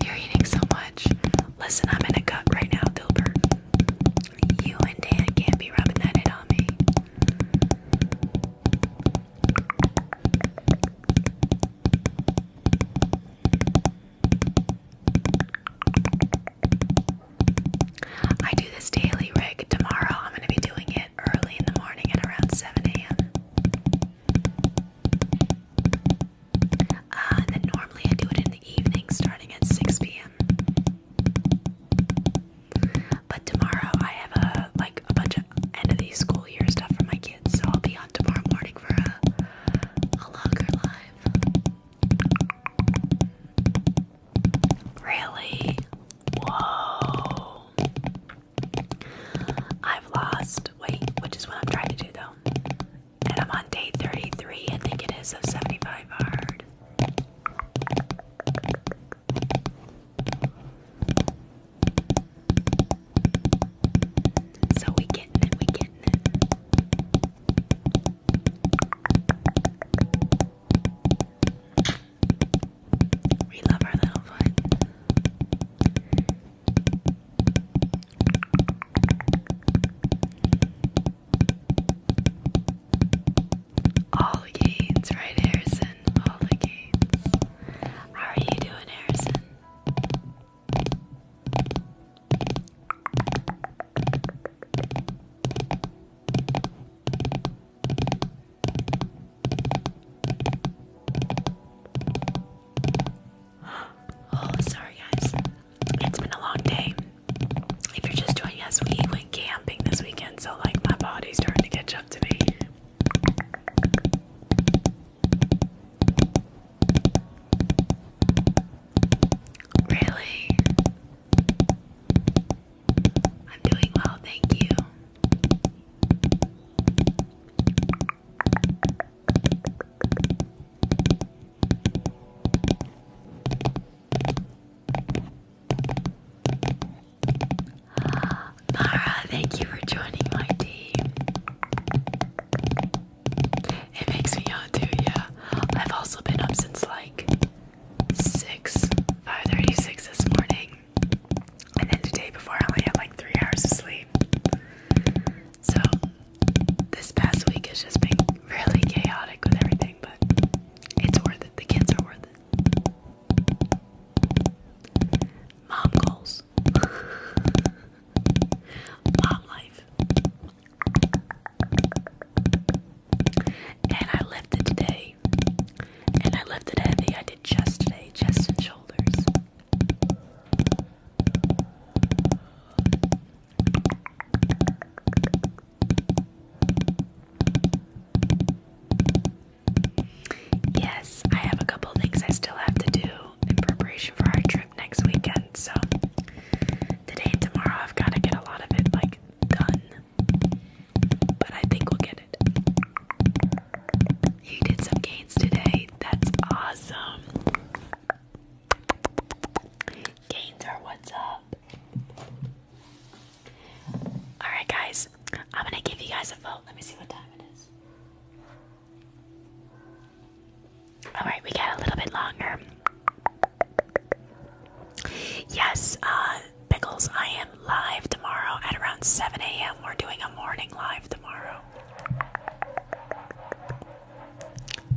Speaker 1: You're eating so much. Listen, I'm in a cut right now, Dilbert. You and Dan can't be rubbing that in on me. I do this daily rig. Tomorrow I'm going to be doing it early in the morning at around 7 a.m. Uh, then normally I do it in the evening starting at 6 p.m. But tomorrow I have a like a bunch of end of the school year stuff for my kids, so I'll be on tomorrow morning for a a longer live. Really? Whoa. I've lost weight, which is what I'm trying to do though. And I'm on day 33, I think it is, of 75 hard. So we getting it, we getting it. We love our little foot. All the gains, right, Harrison? All the gains. How are you doing, Harrison? Oh, sorry guys. It's been a long day. If you're just joining us, we went camping this weekend, so like my body's starting to catch up to me. Really? I'm doing well, thank you. Mara, thank you for joining my team. It makes me out too, yeah. I've also been up since like 6, 5.36 this morning. And then the day before I only had like 3 hours of sleep. So this past week has just been really chaotic with everything, but it's worth it. The kids are worth it. Mom calls. Mom life. And I left it today. And I left it heavy. I did chest today, chest and shoulders. Yes, I have a couple things I still have to do in preparation for our trip next weekend. So today and tomorrow I've got to get a lot of it like done. But I think we'll get it. You did some gains today. That's awesome. Gains are what's up. Alright, guys. I'm gonna give you guys a vote. Let me see what time it is. Alright, we got a little bit longer. Yes, uh, Pickles, I am live tomorrow at around 7 a.m. We're doing a morning live tomorrow.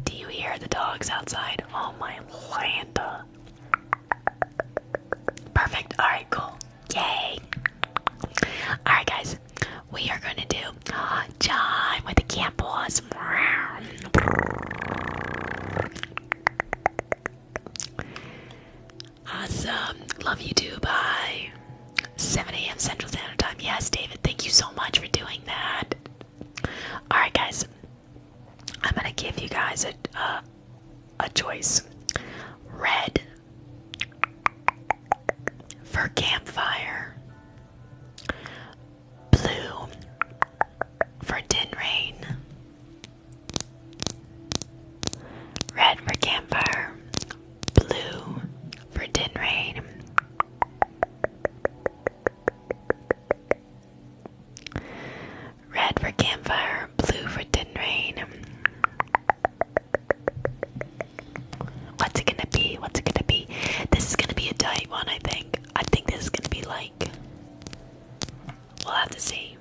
Speaker 1: Do you hear the dogs outside? Oh my landa! Perfect. Alright, cool. Yay. Alright, guys. We are going to do uh, John with the campus. Awesome. Love you too. Bye. 7 a.m. Central Standard Time. Yes, David. Thank you so much for doing that. All right, guys. I'm gonna give you guys a a choice. Red for campfire. Blue for tin rain. Red for campfire, blue for tin rain, red for campfire, blue for tin rain. What's it gonna be? What's it gonna be? This is gonna be a tight one, I think. I think this is gonna be like We'll have to see.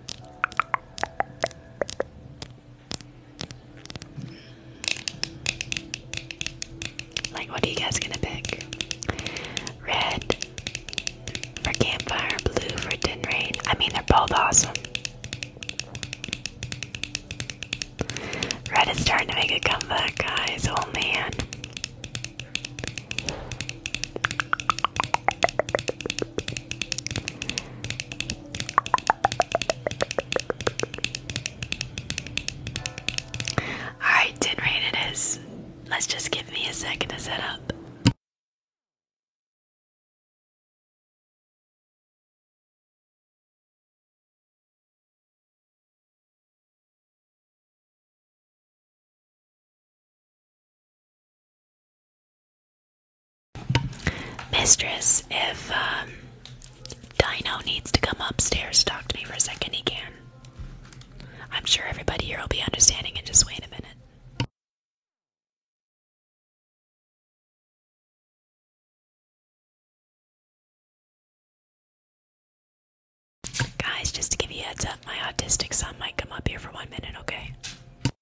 Speaker 1: Like, what are you guys gonna pick? Red for campfire, blue for tin rain. I mean, they're both awesome. Red is starting to make a comeback, guys. Oh man. Alright, tin
Speaker 3: rain it is. Let's just give me a second to set up. Mistress, if um, Dino needs to come upstairs, talk to me for a second, he can. I'm sure everybody here will be understanding and just wait a minute. Guys, just to give you heads up, my autistic son might come up here for one minute, okay?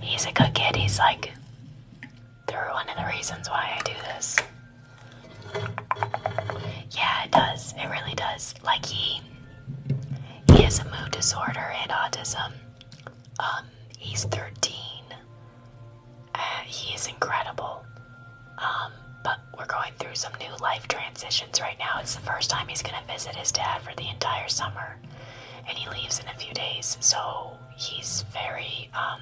Speaker 3: He's a good kid. He's like, they're one of the reasons why I do this.
Speaker 1: Yeah, it does. It really does. Like he, he has a mood disorder and autism. Um, he's 13. he is incredible. Um, but we're going through some new life transitions right now. It's the first time he's gonna visit his dad for the entire summer, and he leaves in a few days. So he's very um,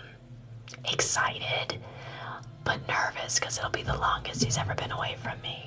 Speaker 3: excited, but nervous because it'll be the longest he's ever been away from me.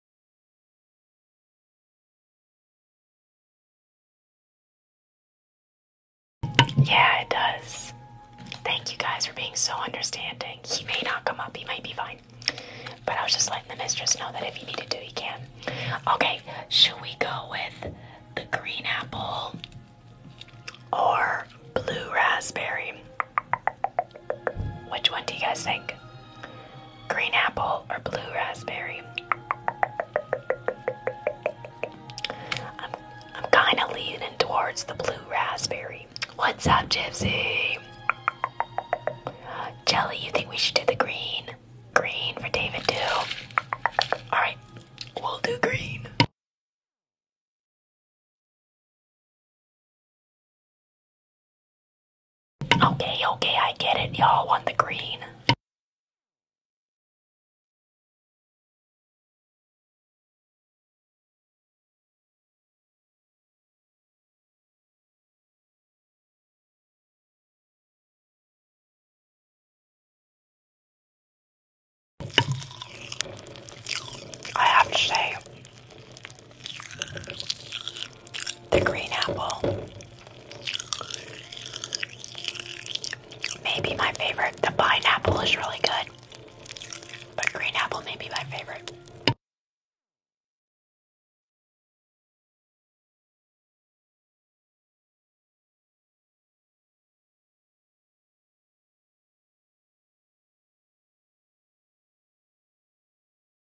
Speaker 3: Yeah, it does. Thank you guys for being so understanding. He may not come up,
Speaker 1: he might be fine. But I was just letting the mistress know that if he needed to, he can. Okay, should we go with the green apple or blue raspberry? Which one do you guys think? Green apple or blue raspberry? I'm, I'm kind of leaning towards the blue raspberry. What's up, Gypsy? Jelly, you think we should do the green?
Speaker 3: Green for David, too. Alright, we'll do green. Okay, okay, I get it. Y'all want the green.
Speaker 1: I have to say, the green apple. Maybe my favorite. The pineapple is really good.
Speaker 3: But green apple may be my favorite.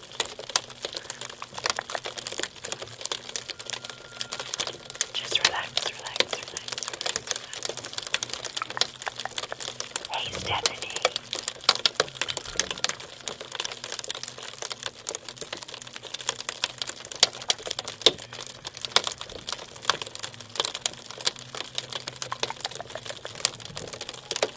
Speaker 3: Just relax, relax, relax, relax. Hey, Stephanie.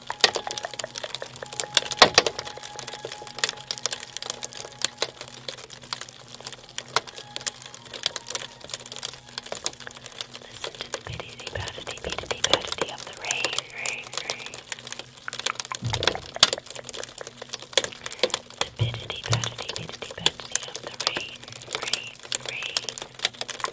Speaker 1: Listen to the piddity, piddity, piddity, piddity of the rain, rain, rain. The piddity, piddity, piddity, piddity of the rain, rain, rain.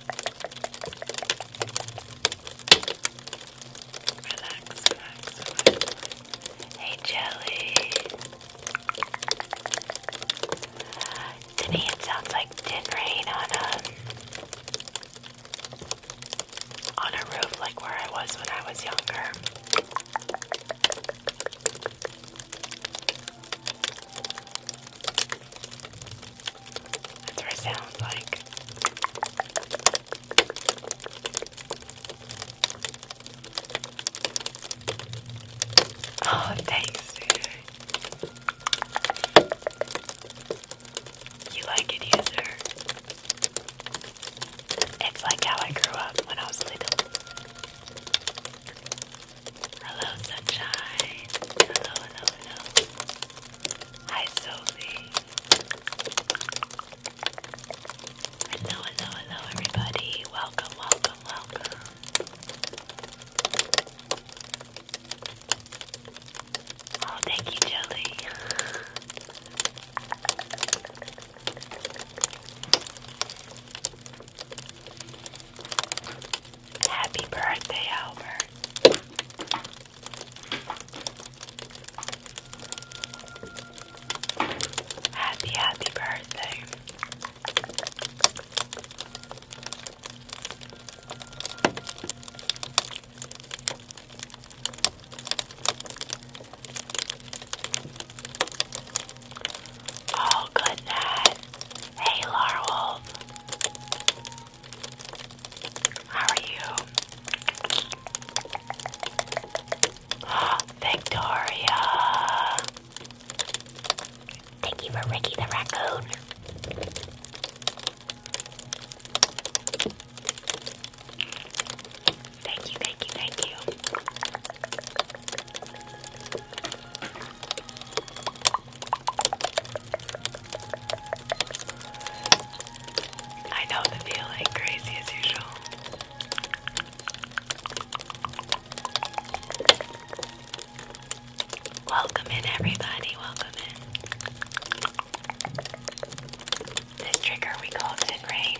Speaker 1: relax, Hey, Jelly. To me, it sounds like did rain on a um, on a roof like where I was when I was younger. That's what it sounds like. Oh, thanks, You like it, user. It's like how I grew up when I was little. Hello, sunshine. Hello, hello, hello. Hi, Sophie. Hello, hello, hello, everybody. Welcome, welcome, welcome. Oh, thank you, Jelly. Happy birthday, Albert. Happy, happy birthday. Oh, good Hey, Larwolf. How are you? Victoria! Thank you for Ricky the Raccoon. Thank you, thank you, thank you.
Speaker 2: I know the feeling, crazy as usual. Welcome in, everybody. Welcome in. This trigger we call Sin Rain.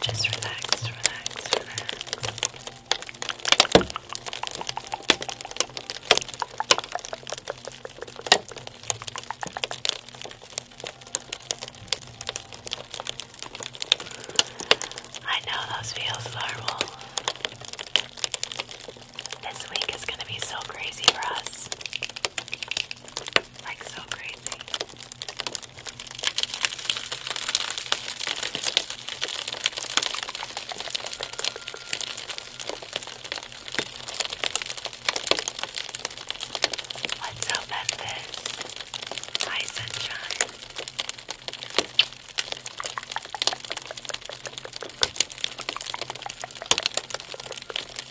Speaker 2: Just relax, relax,
Speaker 1: I know those feels normal. This week is gonna be so crazy for us. Like, so crazy. What's up, Memphis? Hi, Sunshine. Is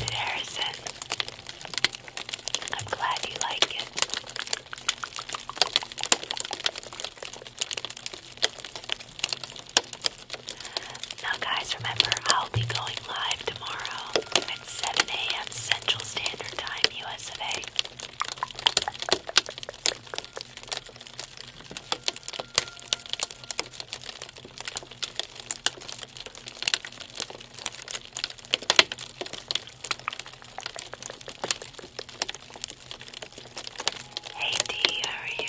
Speaker 1: it Harrison? I'm glad you like it. Now, guys, remember I'll be going live tomorrow at 7 a.m. Central Standard Time, US of Hey D, how are you?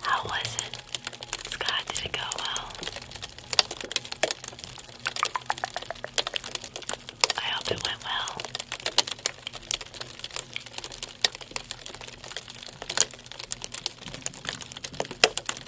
Speaker 1: How was it, Scott? Did it go well? I hope it went well.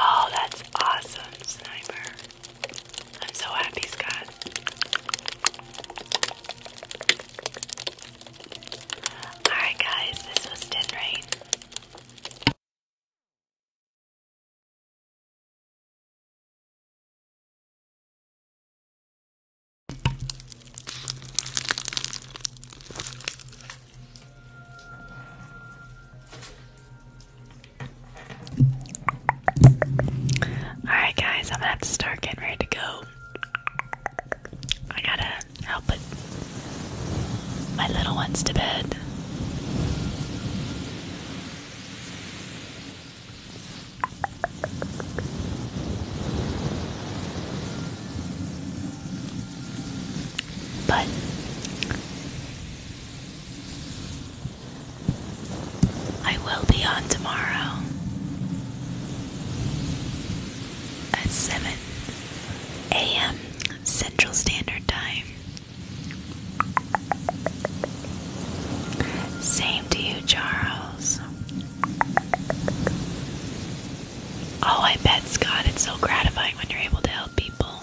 Speaker 1: Oh, that's awesome, Sniper. I'm so happy, Scott. Alright, guys, this was Tin Alright, guys, I'm gonna have to start getting ready to go. I gotta help my little ones to bed. But I will be on tomorrow at 7 a.m. Central Standard Time same to you, Charles. Oh, I bet, Scott, it's so gratifying when you're able to help people.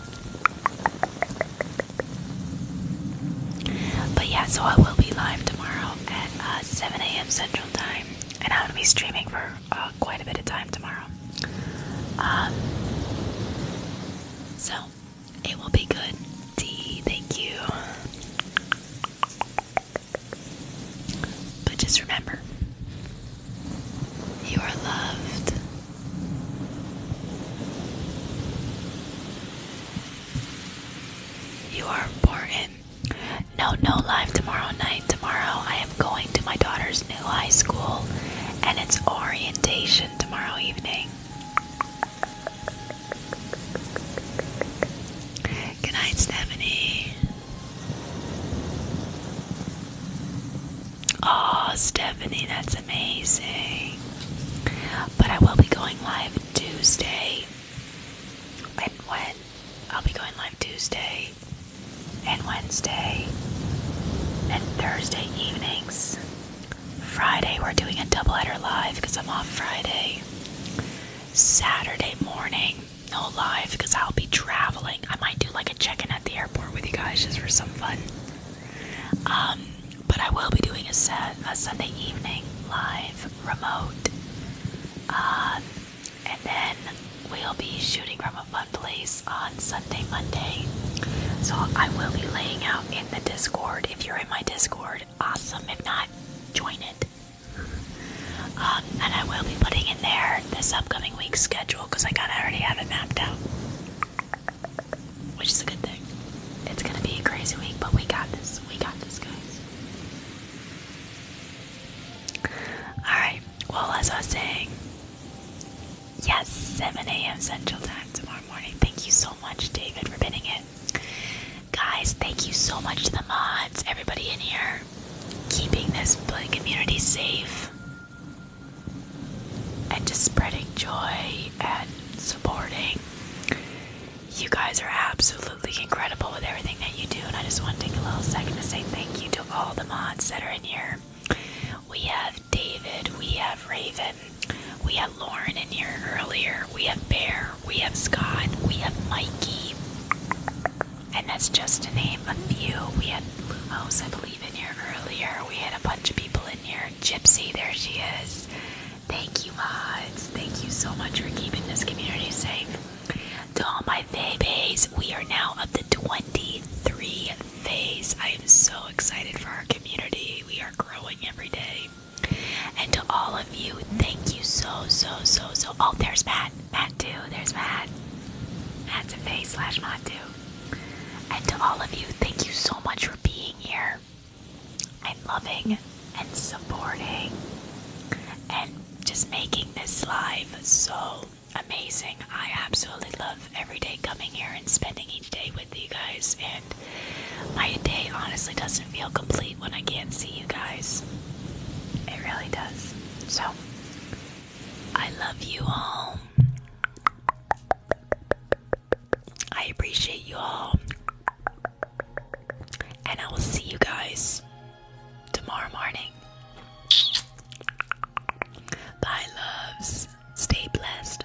Speaker 1: But yeah, so I will be live tomorrow at uh, 7 a.m. Central Time, and I'm going to be streaming for uh, quite a bit of time tomorrow. Um, so, it will be good. D, thank you. But just remember, you are loved. You are important. No, no live tomorrow night. Tomorrow I am going to my daughter's new high school and it's orientation tomorrow evening. Good night, Stephanie. Oh, Stephanie, that's amazing. But I will be going live Tuesday. And when? I'll be going live Tuesday and Wednesday and Thursday evenings. Friday, we're doing a double header live because I'm off Friday. Saturday morning, no live because I'll be traveling. I might do like a check in at the airport with you guys just for some fun. Um, but I will be doing a, set, a Sunday evening live remote. Um, and then we'll be shooting from a fun place on Sunday, Monday. So I will be laying out in the Discord if you're in my Discord, awesome. If not, join it. Um, and I will be putting in there this upcoming week's schedule because I kind of already have it mapped out, which is a good thing. It's gonna be a crazy week, but we got this. We got this, guys. Alright, well, as I was saying, yes, 7 a.m. Central Time tomorrow morning. Thank you so so much, David, for pinning it. Guys, thank you so much to the mods, everybody in here, keeping this community safe and just spreading joy and supporting. You guys are absolutely incredible with everything that you do, and I just want to take a little second to say thank you to all the mods that are in here. We have David, we have Raven, we had Lauren in here earlier. We have Bear. We have Scott. We have Mikey. And that's just to name a few. We had Lumos, I believe, in here earlier. We had a bunch of people in here. Gypsy, there she is. Thank you, mods. Thank you so much for keeping this community safe. To all my babies, we are now up to 23 phase. I am so excited for our community. We are growing every day. And to all of you, thank you so, so, so, so. Oh, there's Matt. Matt, too. There's Matt. Matt's a face slash Matt, too. And to all of you, thank you so much for being here and loving and supporting and just making this live so amazing. I absolutely love every day coming here and spending each day with you guys, and my day honestly doesn't feel complete when I can't see you guys. It really does. So, I love you all. I appreciate you all. And I will see you guys tomorrow morning. Bye, loves. Stay blessed.